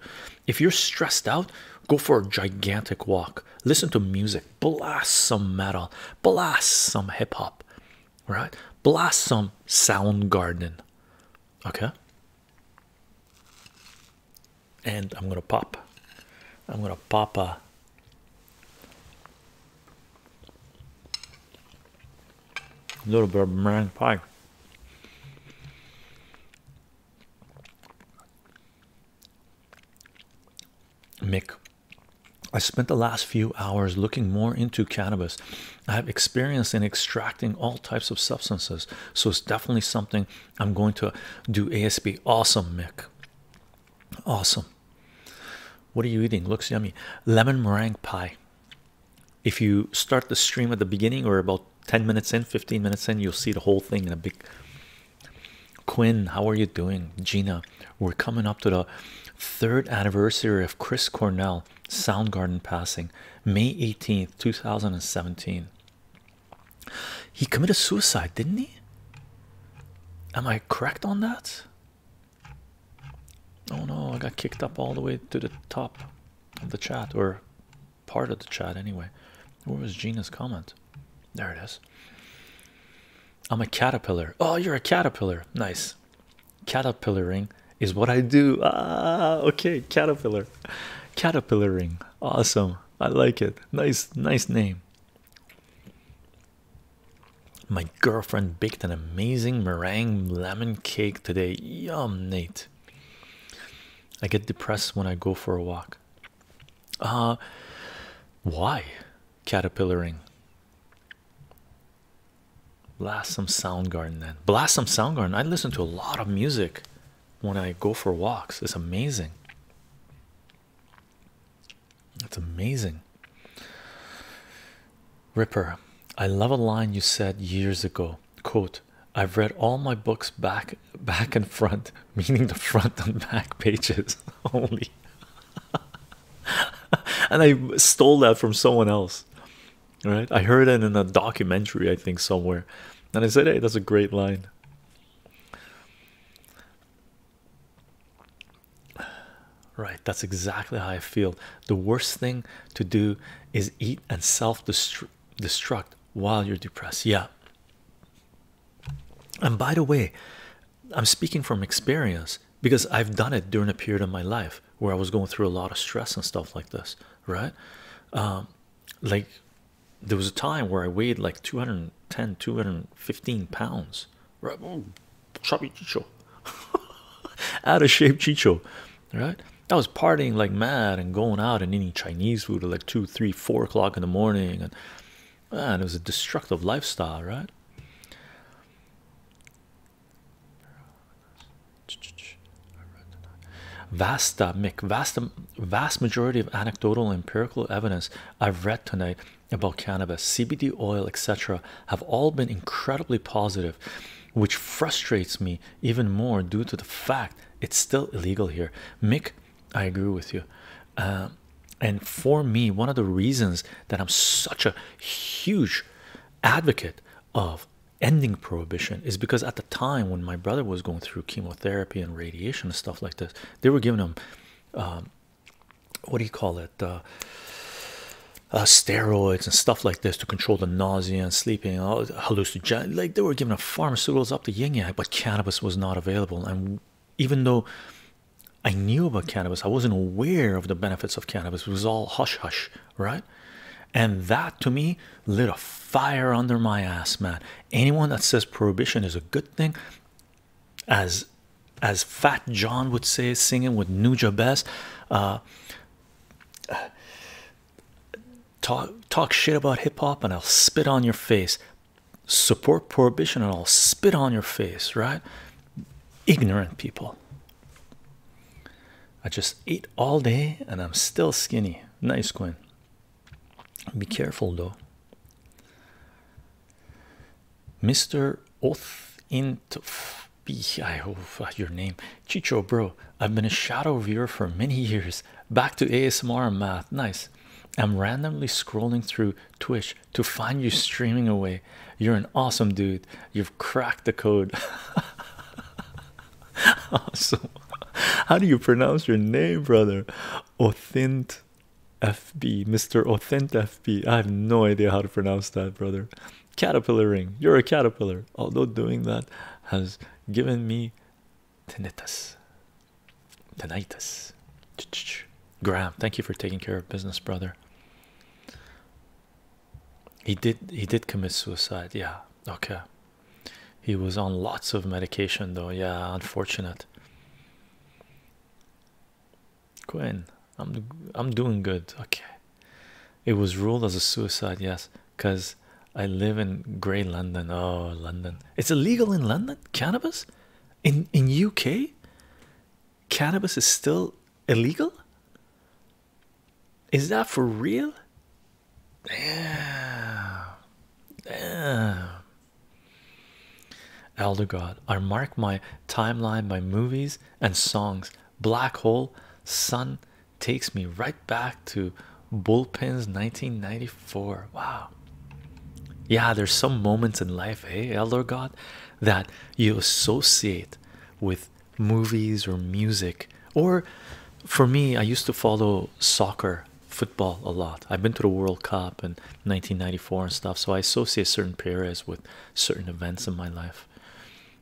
If you're stressed out, go for a gigantic walk, listen to music. Blossom metal, blossom hip hop, right? Blossom sound garden, okay? And I'm gonna pop, I'm gonna pop a. little bit of meringue pie. Mick. I spent the last few hours looking more into cannabis. I have experience in extracting all types of substances, so it's definitely something I'm going to do ASB. Awesome, Mick. Awesome. What are you eating? Looks yummy. Lemon meringue pie. If you start the stream at the beginning or about 10 minutes in, 15 minutes in, you'll see the whole thing in a big Quinn, how are you doing? Gina, we're coming up to the third anniversary of Chris Cornell Soundgarden passing, May 18th, 2017. He committed suicide, didn't he? Am I correct on that? Oh no, I got kicked up all the way to the top of the chat, or part of the chat anyway. Where was Gina's comment? There it is. I'm a caterpillar. Oh, you're a caterpillar. Nice. Caterpillaring is what I do. Ah, okay. Caterpillar. Caterpillaring. Awesome. I like it. Nice, nice name. My girlfriend baked an amazing meringue lemon cake today. Yum, Nate. I get depressed when I go for a walk. Uh, why caterpillaring? Blast some Soundgarden then. Blast some Soundgarden. I listen to a lot of music when I go for walks. It's amazing. It's amazing. Ripper, I love a line you said years ago. Quote, I've read all my books back back and front, meaning the front and back pages. only." and I stole that from someone else. Right? I heard it in a documentary, I think, somewhere. And I said, hey, that's a great line. Right, that's exactly how I feel. The worst thing to do is eat and self destruct while you're depressed. Yeah. And by the way, I'm speaking from experience because I've done it during a period of my life where I was going through a lot of stress and stuff like this, right? Um, like there was a time where I weighed like 210, 215 pounds, right? Mm. chubby chicho, out of shape chicho, right? I was partying like mad and going out and eating Chinese food at like two, three, four o'clock in the morning and and it was a destructive lifestyle, right? Vasta Mick, vast, vast majority of anecdotal and empirical evidence I've read tonight about cannabis, CBD oil, etc., have all been incredibly positive, which frustrates me even more due to the fact it's still illegal here. Mick, I agree with you. Uh, and for me one of the reasons that i'm such a huge advocate of ending prohibition is because at the time when my brother was going through chemotherapy and radiation and stuff like this they were giving him um, what do you call it uh, uh, steroids and stuff like this to control the nausea and sleeping all like they were giving a pharmaceuticals up the ying yang but cannabis was not available and even though I knew about cannabis, I wasn't aware of the benefits of cannabis. It was all hush hush, right? And that to me lit a fire under my ass, man. Anyone that says prohibition is a good thing, as as Fat John would say, singing with Nuja Best, uh, uh, talk talk shit about hip hop, and I'll spit on your face support prohibition and I'll spit on your face, right? Ignorant people. I just ate all day and I'm still skinny. Nice, Quinn. Be careful though. Mr. Oath I hope uh, your name, Chicho, bro. I've been a shadow viewer for many years. Back to ASMR and math. Nice. I'm randomly scrolling through Twitch to find you streaming away. You're an awesome dude. You've cracked the code. awesome. How do you pronounce your name, brother? Othint FB, Mr. Othint FB. I have no idea how to pronounce that, brother. Caterpillar ring. You're a caterpillar. Although doing that has given me tinnitus tinnitus graham thank you for taking care of business brother he did he did commit suicide yeah okay he was on lots of medication though yeah unfortunate quinn i'm i'm doing good okay it was ruled as a suicide yes because i live in gray london oh london it's illegal in london cannabis in in uk cannabis is still illegal? Is that for real? Yeah. Yeah. Elder God, I mark my timeline by movies and songs. Black Hole Sun takes me right back to Bullpens 1994. Wow. Yeah, there's some moments in life, hey, Elder God, that you associate with movies or music or for me i used to follow soccer football a lot i've been to the world cup in 1994 and stuff so i associate certain periods with certain events in my life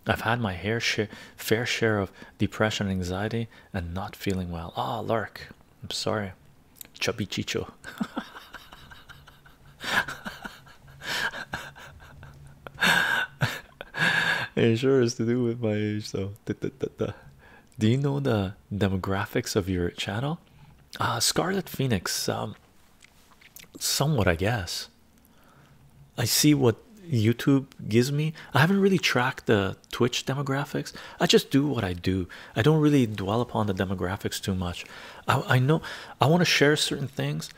i've had my hair share, fair share of depression anxiety and not feeling well ah lark i'm sorry Chubby Chicho. it sure is to do with my age, though. So. Do you know the demographics of your channel? Uh, Scarlet Phoenix, um, somewhat, I guess. I see what YouTube gives me. I haven't really tracked the Twitch demographics. I just do what I do. I don't really dwell upon the demographics too much. I, I know I want to share certain things.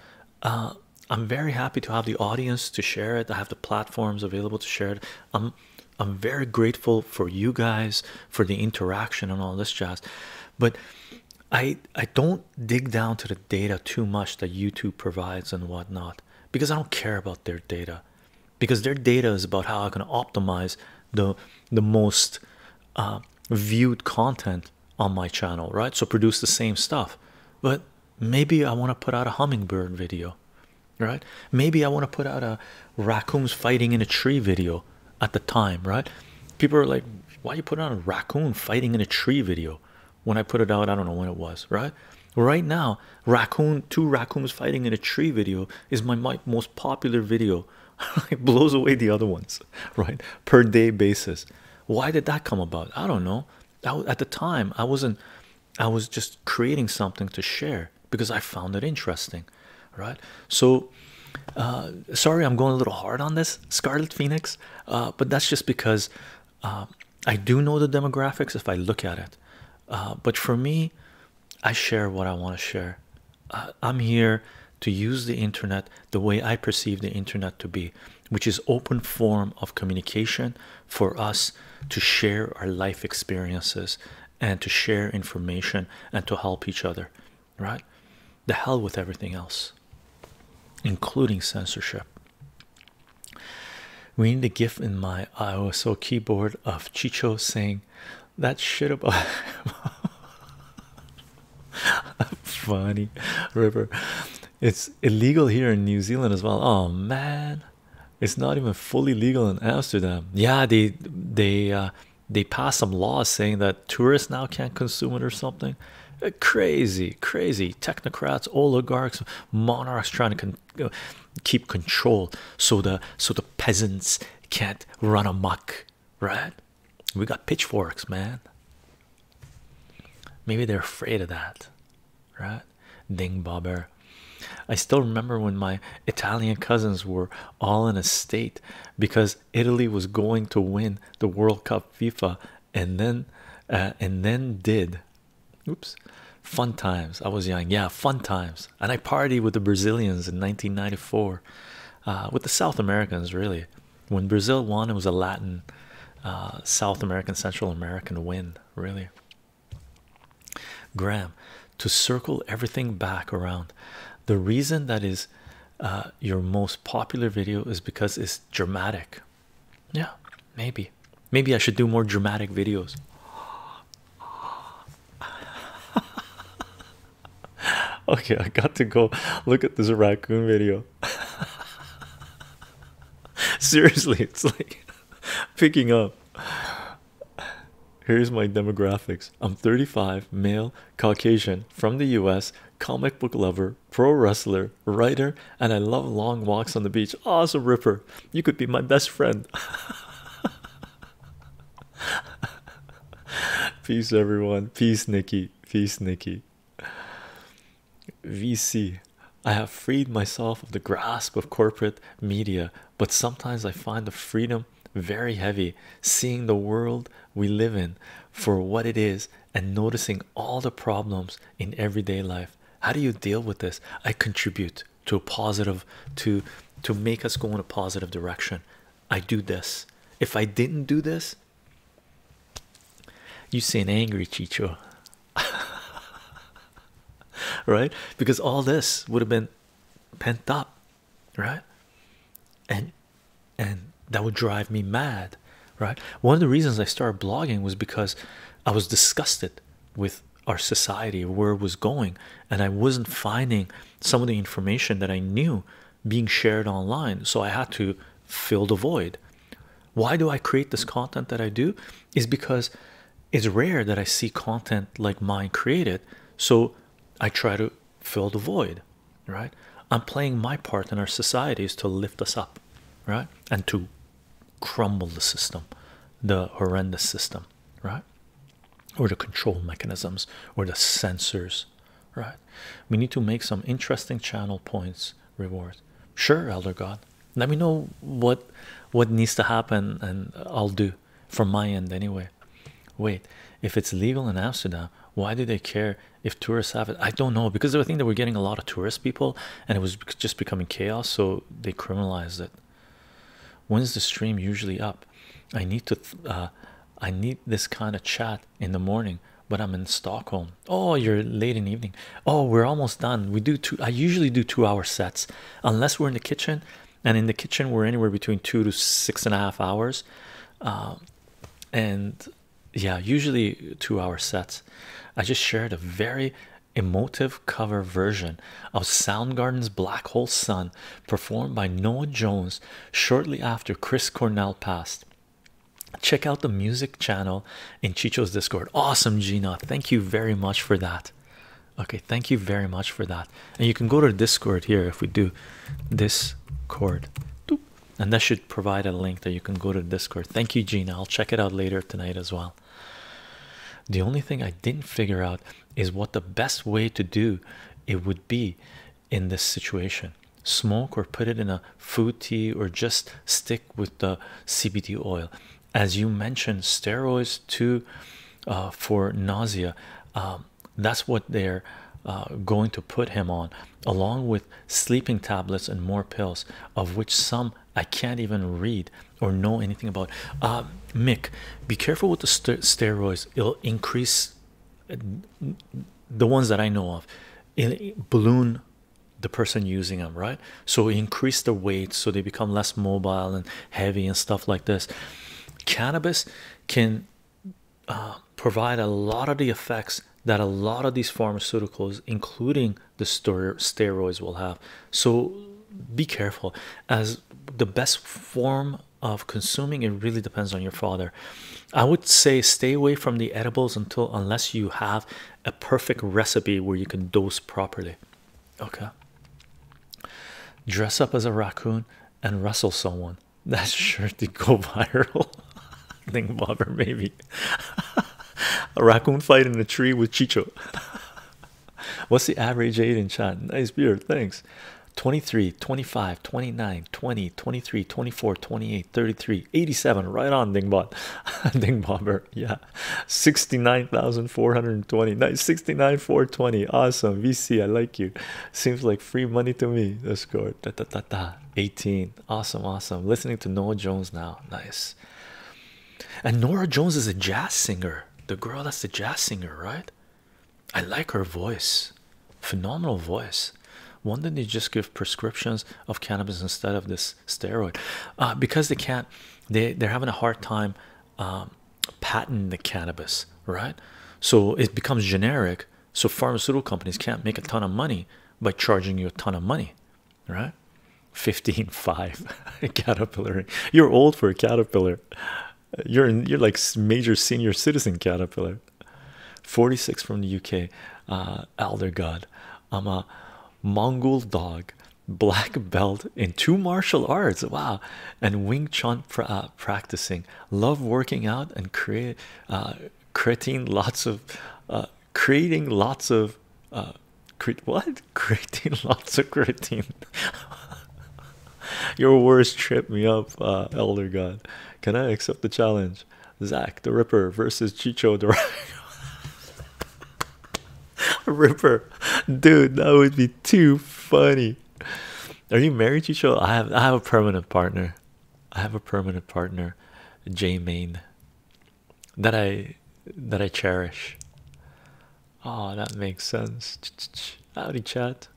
Uh, I'm very happy to have the audience to share it. I have the platforms available to share it. I'm I'm very grateful for you guys for the interaction and all this jazz, but I I don't dig down to the data too much that YouTube provides and whatnot because I don't care about their data because their data is about how I can optimize the the most uh, viewed content on my channel, right? So produce the same stuff, but maybe I want to put out a hummingbird video, right? Maybe I want to put out a raccoons fighting in a tree video at the time, right? People are like, why are you putting out a raccoon fighting in a tree video? When I put it out, I don't know when it was, right? Right now, raccoon two raccoons fighting in a tree video is my most popular video it blows away the other ones, right? Per day basis. Why did that come about? I don't know. at the time, I wasn't, I was just creating something to share because I found it interesting, right? So, uh, sorry, I'm going a little hard on this, Scarlet Phoenix, uh, but that's just because uh, I do know the demographics if I look at it. but for me, I share what I want to share. Uh, I'm here to use the internet the way I perceive the internet to be, which is open form of communication for us to share our life experiences and to share information and to help each other, right? The hell with everything else, including censorship. We need a GIF in my IOSO keyboard of Chicho saying that shit about Funny river. It's illegal here in New Zealand as well. Oh man, it's not even fully legal in Amsterdam. Yeah, they they uh, they pass some laws saying that tourists now can't consume it or something. Uh, crazy, crazy technocrats, oligarchs, monarchs trying to uh, keep control so the so the peasants can't run amok right? We got pitchforks, man. Maybe they're afraid of that, right? Ding bobber. I still remember when my Italian cousins were all in a state because Italy was going to win the World Cup FIFA and then uh, and then did oops fun times I was young yeah fun times and I partied with the Brazilians in 1994 uh, with the South Americans really when Brazil won, it was a Latin, uh, South American, Central American win, really. Graham, to circle everything back around, the reason that is uh, your most popular video is because it's dramatic. Yeah, maybe. Maybe I should do more dramatic videos. okay, I got to go look at this raccoon video. Seriously, it's like picking up. Here's my demographics I'm 35, male, Caucasian, from the US, comic book lover, pro wrestler, writer, and I love long walks on the beach. Oh, awesome, Ripper. You could be my best friend. Peace, everyone. Peace, Nikki. Peace, Nikki. VC. I have freed myself of the grasp of corporate media, but sometimes I find the freedom very heavy, seeing the world we live in for what it is and noticing all the problems in everyday life. How do you deal with this? I contribute to a positive to to make us go in a positive direction. I do this. If I didn't do this, you seem angry, Chicho, right? Because all this would have been pent up, right? And and that would drive me mad, right? One of the reasons I started blogging was because I was disgusted with our society, where it was going, and I wasn't finding some of the information that I knew being shared online so i had to fill the void why do i create this content that i do is because it's rare that i see content like mine created so i try to fill the void right i'm playing my part in our societies to lift us up right and to crumble the system the horrendous system right or the control mechanisms or the sensors right we need to make some interesting channel points reward sure elder god let me know what what needs to happen and i'll do from my end anyway wait if it's legal in amsterdam why do they care if tourists have it i don't know because i think that we're getting a lot of tourist people and it was just becoming chaos so they criminalized it when's the stream usually up i need to uh, i need this kind of chat in the morning but i'm in stockholm oh you're late in the evening oh we're almost done we do two i usually do two hour sets unless we're in the kitchen and in the kitchen we're anywhere between two to six and a half hours um, and yeah usually two hour sets i just shared a very emotive cover version of soundgarden's black hole sun performed by noah jones shortly after chris cornell passed check out the music channel in Chicho's Discord. Awesome, Gina. Thank you very much for that. Okay, thank you very much for that. And you can go to Discord here if we do Discord. And that should provide a link that you can go to Discord. Thank you, Gina. I'll check it out later tonight as well. The only thing I didn't figure out is what the best way to do it would be in this situation smoke or put it in a food tea or just stick with the cbd oil as you mentioned steroids too uh, for nausea um, that's what they're uh, going to put him on along with sleeping tablets and more pills of which some i can't even read or know anything about uh, mick be careful with the steroids it'll increase the ones that i know of it balloon the person using them, right? So increase the weight so they become less mobile and heavy and stuff like this. Cannabis can uh, provide a lot of the effects that a lot of these pharmaceuticals, including the steroids, will have. So be careful. As the best form of consuming, it really depends on your father. I would say stay away from the edibles until unless you have a perfect recipe where you can dose properly. Okay. Dress up as a raccoon and wrestle someone. That's sure to go viral. Think bobber maybe. a raccoon fight in a tree with Chicho. What's the average age in chat? Nice beard, thanks. 23, 25, 29, 20, 23, 24, 28. 28 33 87 right on dingbot Dingbomber, yeah 69420 nice four twenty, awesome vc i like you seems like free money to me let score, go da, da, da, 18 awesome awesome listening to noah jones now nice and nora jones is a jazz singer the girl that's a jazz singer right i like her voice phenomenal voice why didn't they just give prescriptions of cannabis instead of this steroid uh, because they can't they they're having a hard time um, patenting the cannabis right so it becomes generic so pharmaceutical companies can't make a ton of money by charging you a ton of money right 15 5 caterpillar you're old for a caterpillar you're you're like major senior citizen caterpillar 46 from the UK uh, elder god I'm a Mongol dog, black belt in two martial arts. Wow, and Wing Chun uh, practicing. Love working out and create, uh, creating lots of, uh, creating lots of, what? Creating lots of creatine. Your words trip me up, Elder God. Can I accept the challenge? Zach the Ripper versus Chicho Durago. Ripper, dude, that would be too funny. Are you married, Chicho? I have I have a permanent partner. I have a permanent partner, Jay Maine. that I that I cherish. Oh, that makes sense. Ch -ch -ch. Howdy, chat.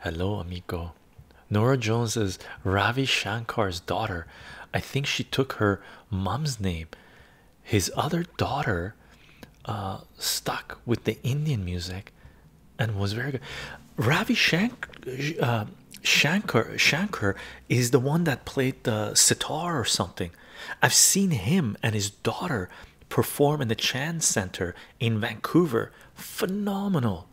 Hello, amigo. Nora Jones is Ravi Shankar's daughter. I think she took her mom's name. His other daughter uh, stuck with the Indian music and was very good. Ravi Shank, uh, Shankar is the one that played the sitar or something. I've seen him and his daughter perform in the Chan Center in Vancouver. Phenomenal.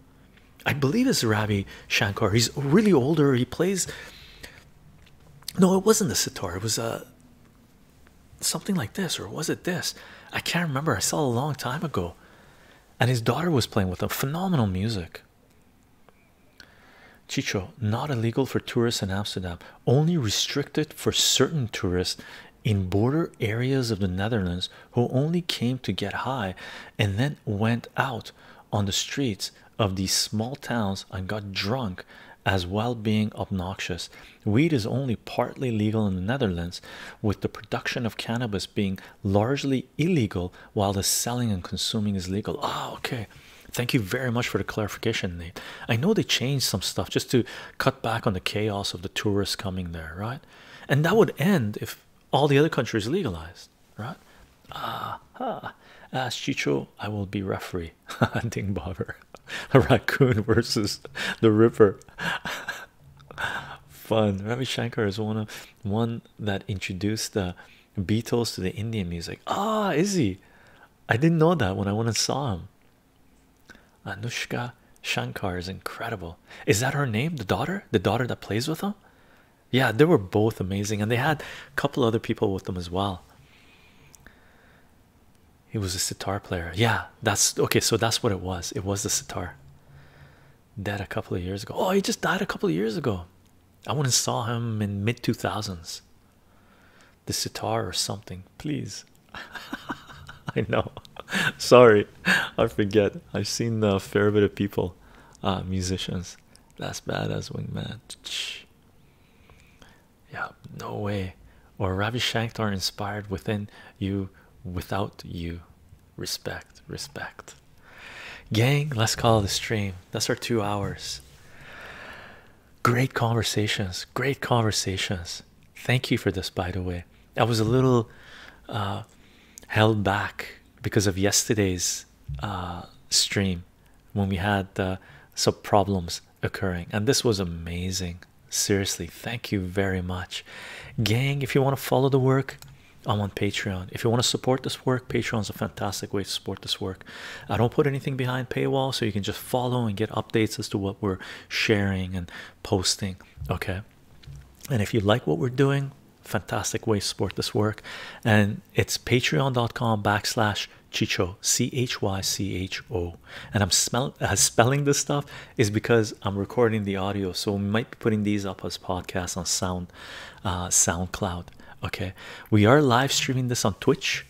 I believe it's Ravi Shankar. He's really older. He plays. No, it wasn't the sitar. It was a uh, something like this, or was it this? I can't remember. I saw it a long time ago, and his daughter was playing with him. Phenomenal music. Chicho, not illegal for tourists in Amsterdam. Only restricted for certain tourists in border areas of the Netherlands who only came to get high and then went out on the streets of these small towns and got drunk as well being obnoxious weed is only partly legal in the netherlands with the production of cannabis being largely illegal while the selling and consuming is legal ah okay thank you very much for the clarification nate i know they changed some stuff just to cut back on the chaos of the tourists coming there right and that would end if all the other countries legalized right Ah ha! Uh-huh. As Chicho, I will be referee. Hunting bobber, a raccoon versus the river. Fun. Ravi Shankar is one of one that introduced the Beatles to the Indian music. Ah, is he? I didn't know that when I went and saw him. Anushka Shankar is incredible. Is that her name? The daughter? The daughter that plays with him? yeah they were both amazing and they had a couple other people with them as well he was a sitar player yeah that's okay so that's what it was it was the sitar dead a couple of years ago oh he just died a couple of years ago i went and saw him in mid 2000s the sitar or something please i know sorry i forget i've seen a fair bit of people uh, musicians that's badass wingman. Yeah, no way. Or Ravi Shankar inspired within you without you. Respect, respect. Gang, let's call the stream. That's our two hours. Great conversations, great conversations. Thank you for this, by the way. I was a little uh, held back because of yesterday's uh, stream when we had uh, some problems occurring, and this was amazing. Seriously, thank you very much, gang. If you want to follow the work, I'm on Patreon. If you want to support this work, Patreon's a fantastic way to support this work. I don't put anything behind paywall, so you can just follow and get updates as to what we're sharing and posting. Okay, and if you like what we're doing, fantastic way to support this work, and and it's patreon.com backslash chicho c-h-y-c-h-o and i'm uh, spelling this stuff is because i'm recording the audio so we might be putting these up as podcasts on sound uh, soundcloud okay we are live streaming this on twitch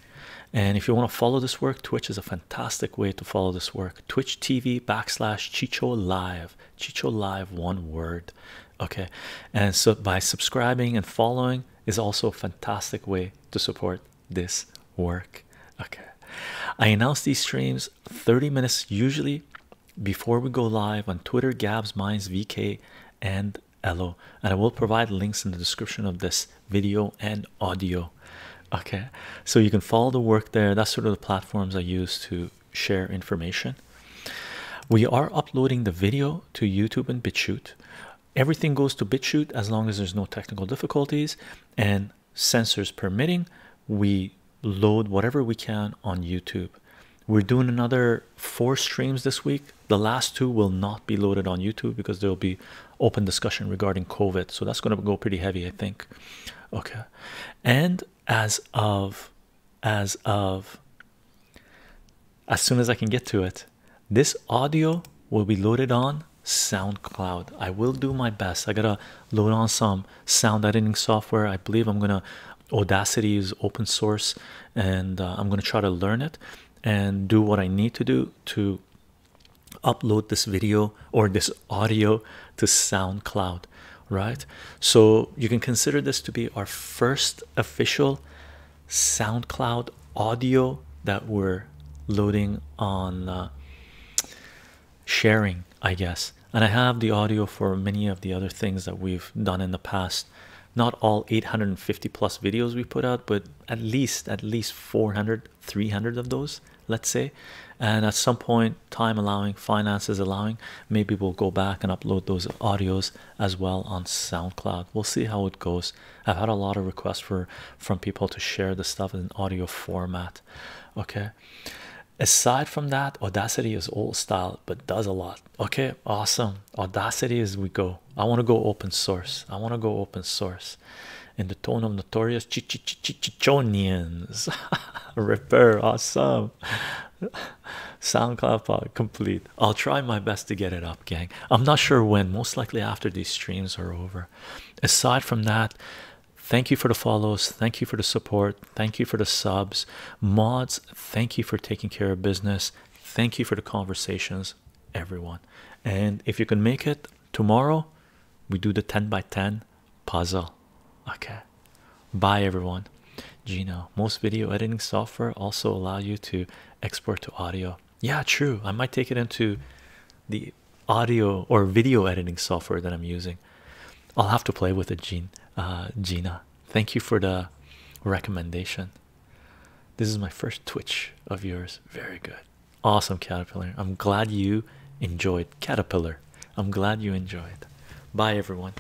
and if you want to follow this work twitch is a fantastic way to follow this work twitch tv backslash chicho live chicho live one word okay and so by subscribing and following is also a fantastic way to support this work okay i announce these streams 30 minutes usually before we go live on twitter gabs minds vk and Ello, and I will provide links in the description of this video and audio. Okay, so you can follow the work there. That's sort of the platforms I use to share information. We are uploading the video to YouTube and BitChute. Everything goes to BitChute as long as there's no technical difficulties and sensors permitting. We load whatever we can on YouTube. We're doing another four streams this week. The last two will not be loaded on YouTube because there'll be open discussion regarding COVID. So that's going to go pretty heavy, I think. Okay. And as of as of as soon as I can get to it. This audio will be loaded on SoundCloud. I will do my best. I gotta load on some sound editing software. I believe I'm gonna Audacity is open source, and uh, I'm gonna try to learn it and do what I need to do to upload this video or this audio to SoundCloud, right? So you can consider this to be our first official SoundCloud audio that we're loading on uh, sharing, I guess. And I have the audio for many of the other things that we've done in the past. Not all 850 plus videos we put out, but at least at least 400, 300 of those, let's say. And at some point, time allowing, finances allowing, maybe we'll go back and upload those audios as well on SoundCloud we'll see how it goes i've had a lot of requests for from people to share the stuff in audio format okay aside from that audacity is old style but does a lot okay awesome audacity is we go i want to go open source i want to go open source in the tone of notorious chichichichichonians repair awesome soundcloud pod complete I'll try my best to get it up, gang. I'm not sure when, most likely after these streams are over. Aside from that, thank you for the follows, thank you for the support, thank you for the subs, mods, thank you for taking care of business, thank you for the conversations, everyone. And if you can make it tomorrow, we do the 10 by 10 puzzle. Okay, bye everyone. Gino, most video editing software also allow you to export to audio. Yeah, true. I might take it into the audio or video editing software that I'm using. I'll have to play with it, uh, Gina, thank you for the recommendation. This is my first Twitch of yours. Very good. Awesome, Caterpillar. I'm glad you enjoyed Caterpillar. I'm glad you enjoyed. Bye, everyone.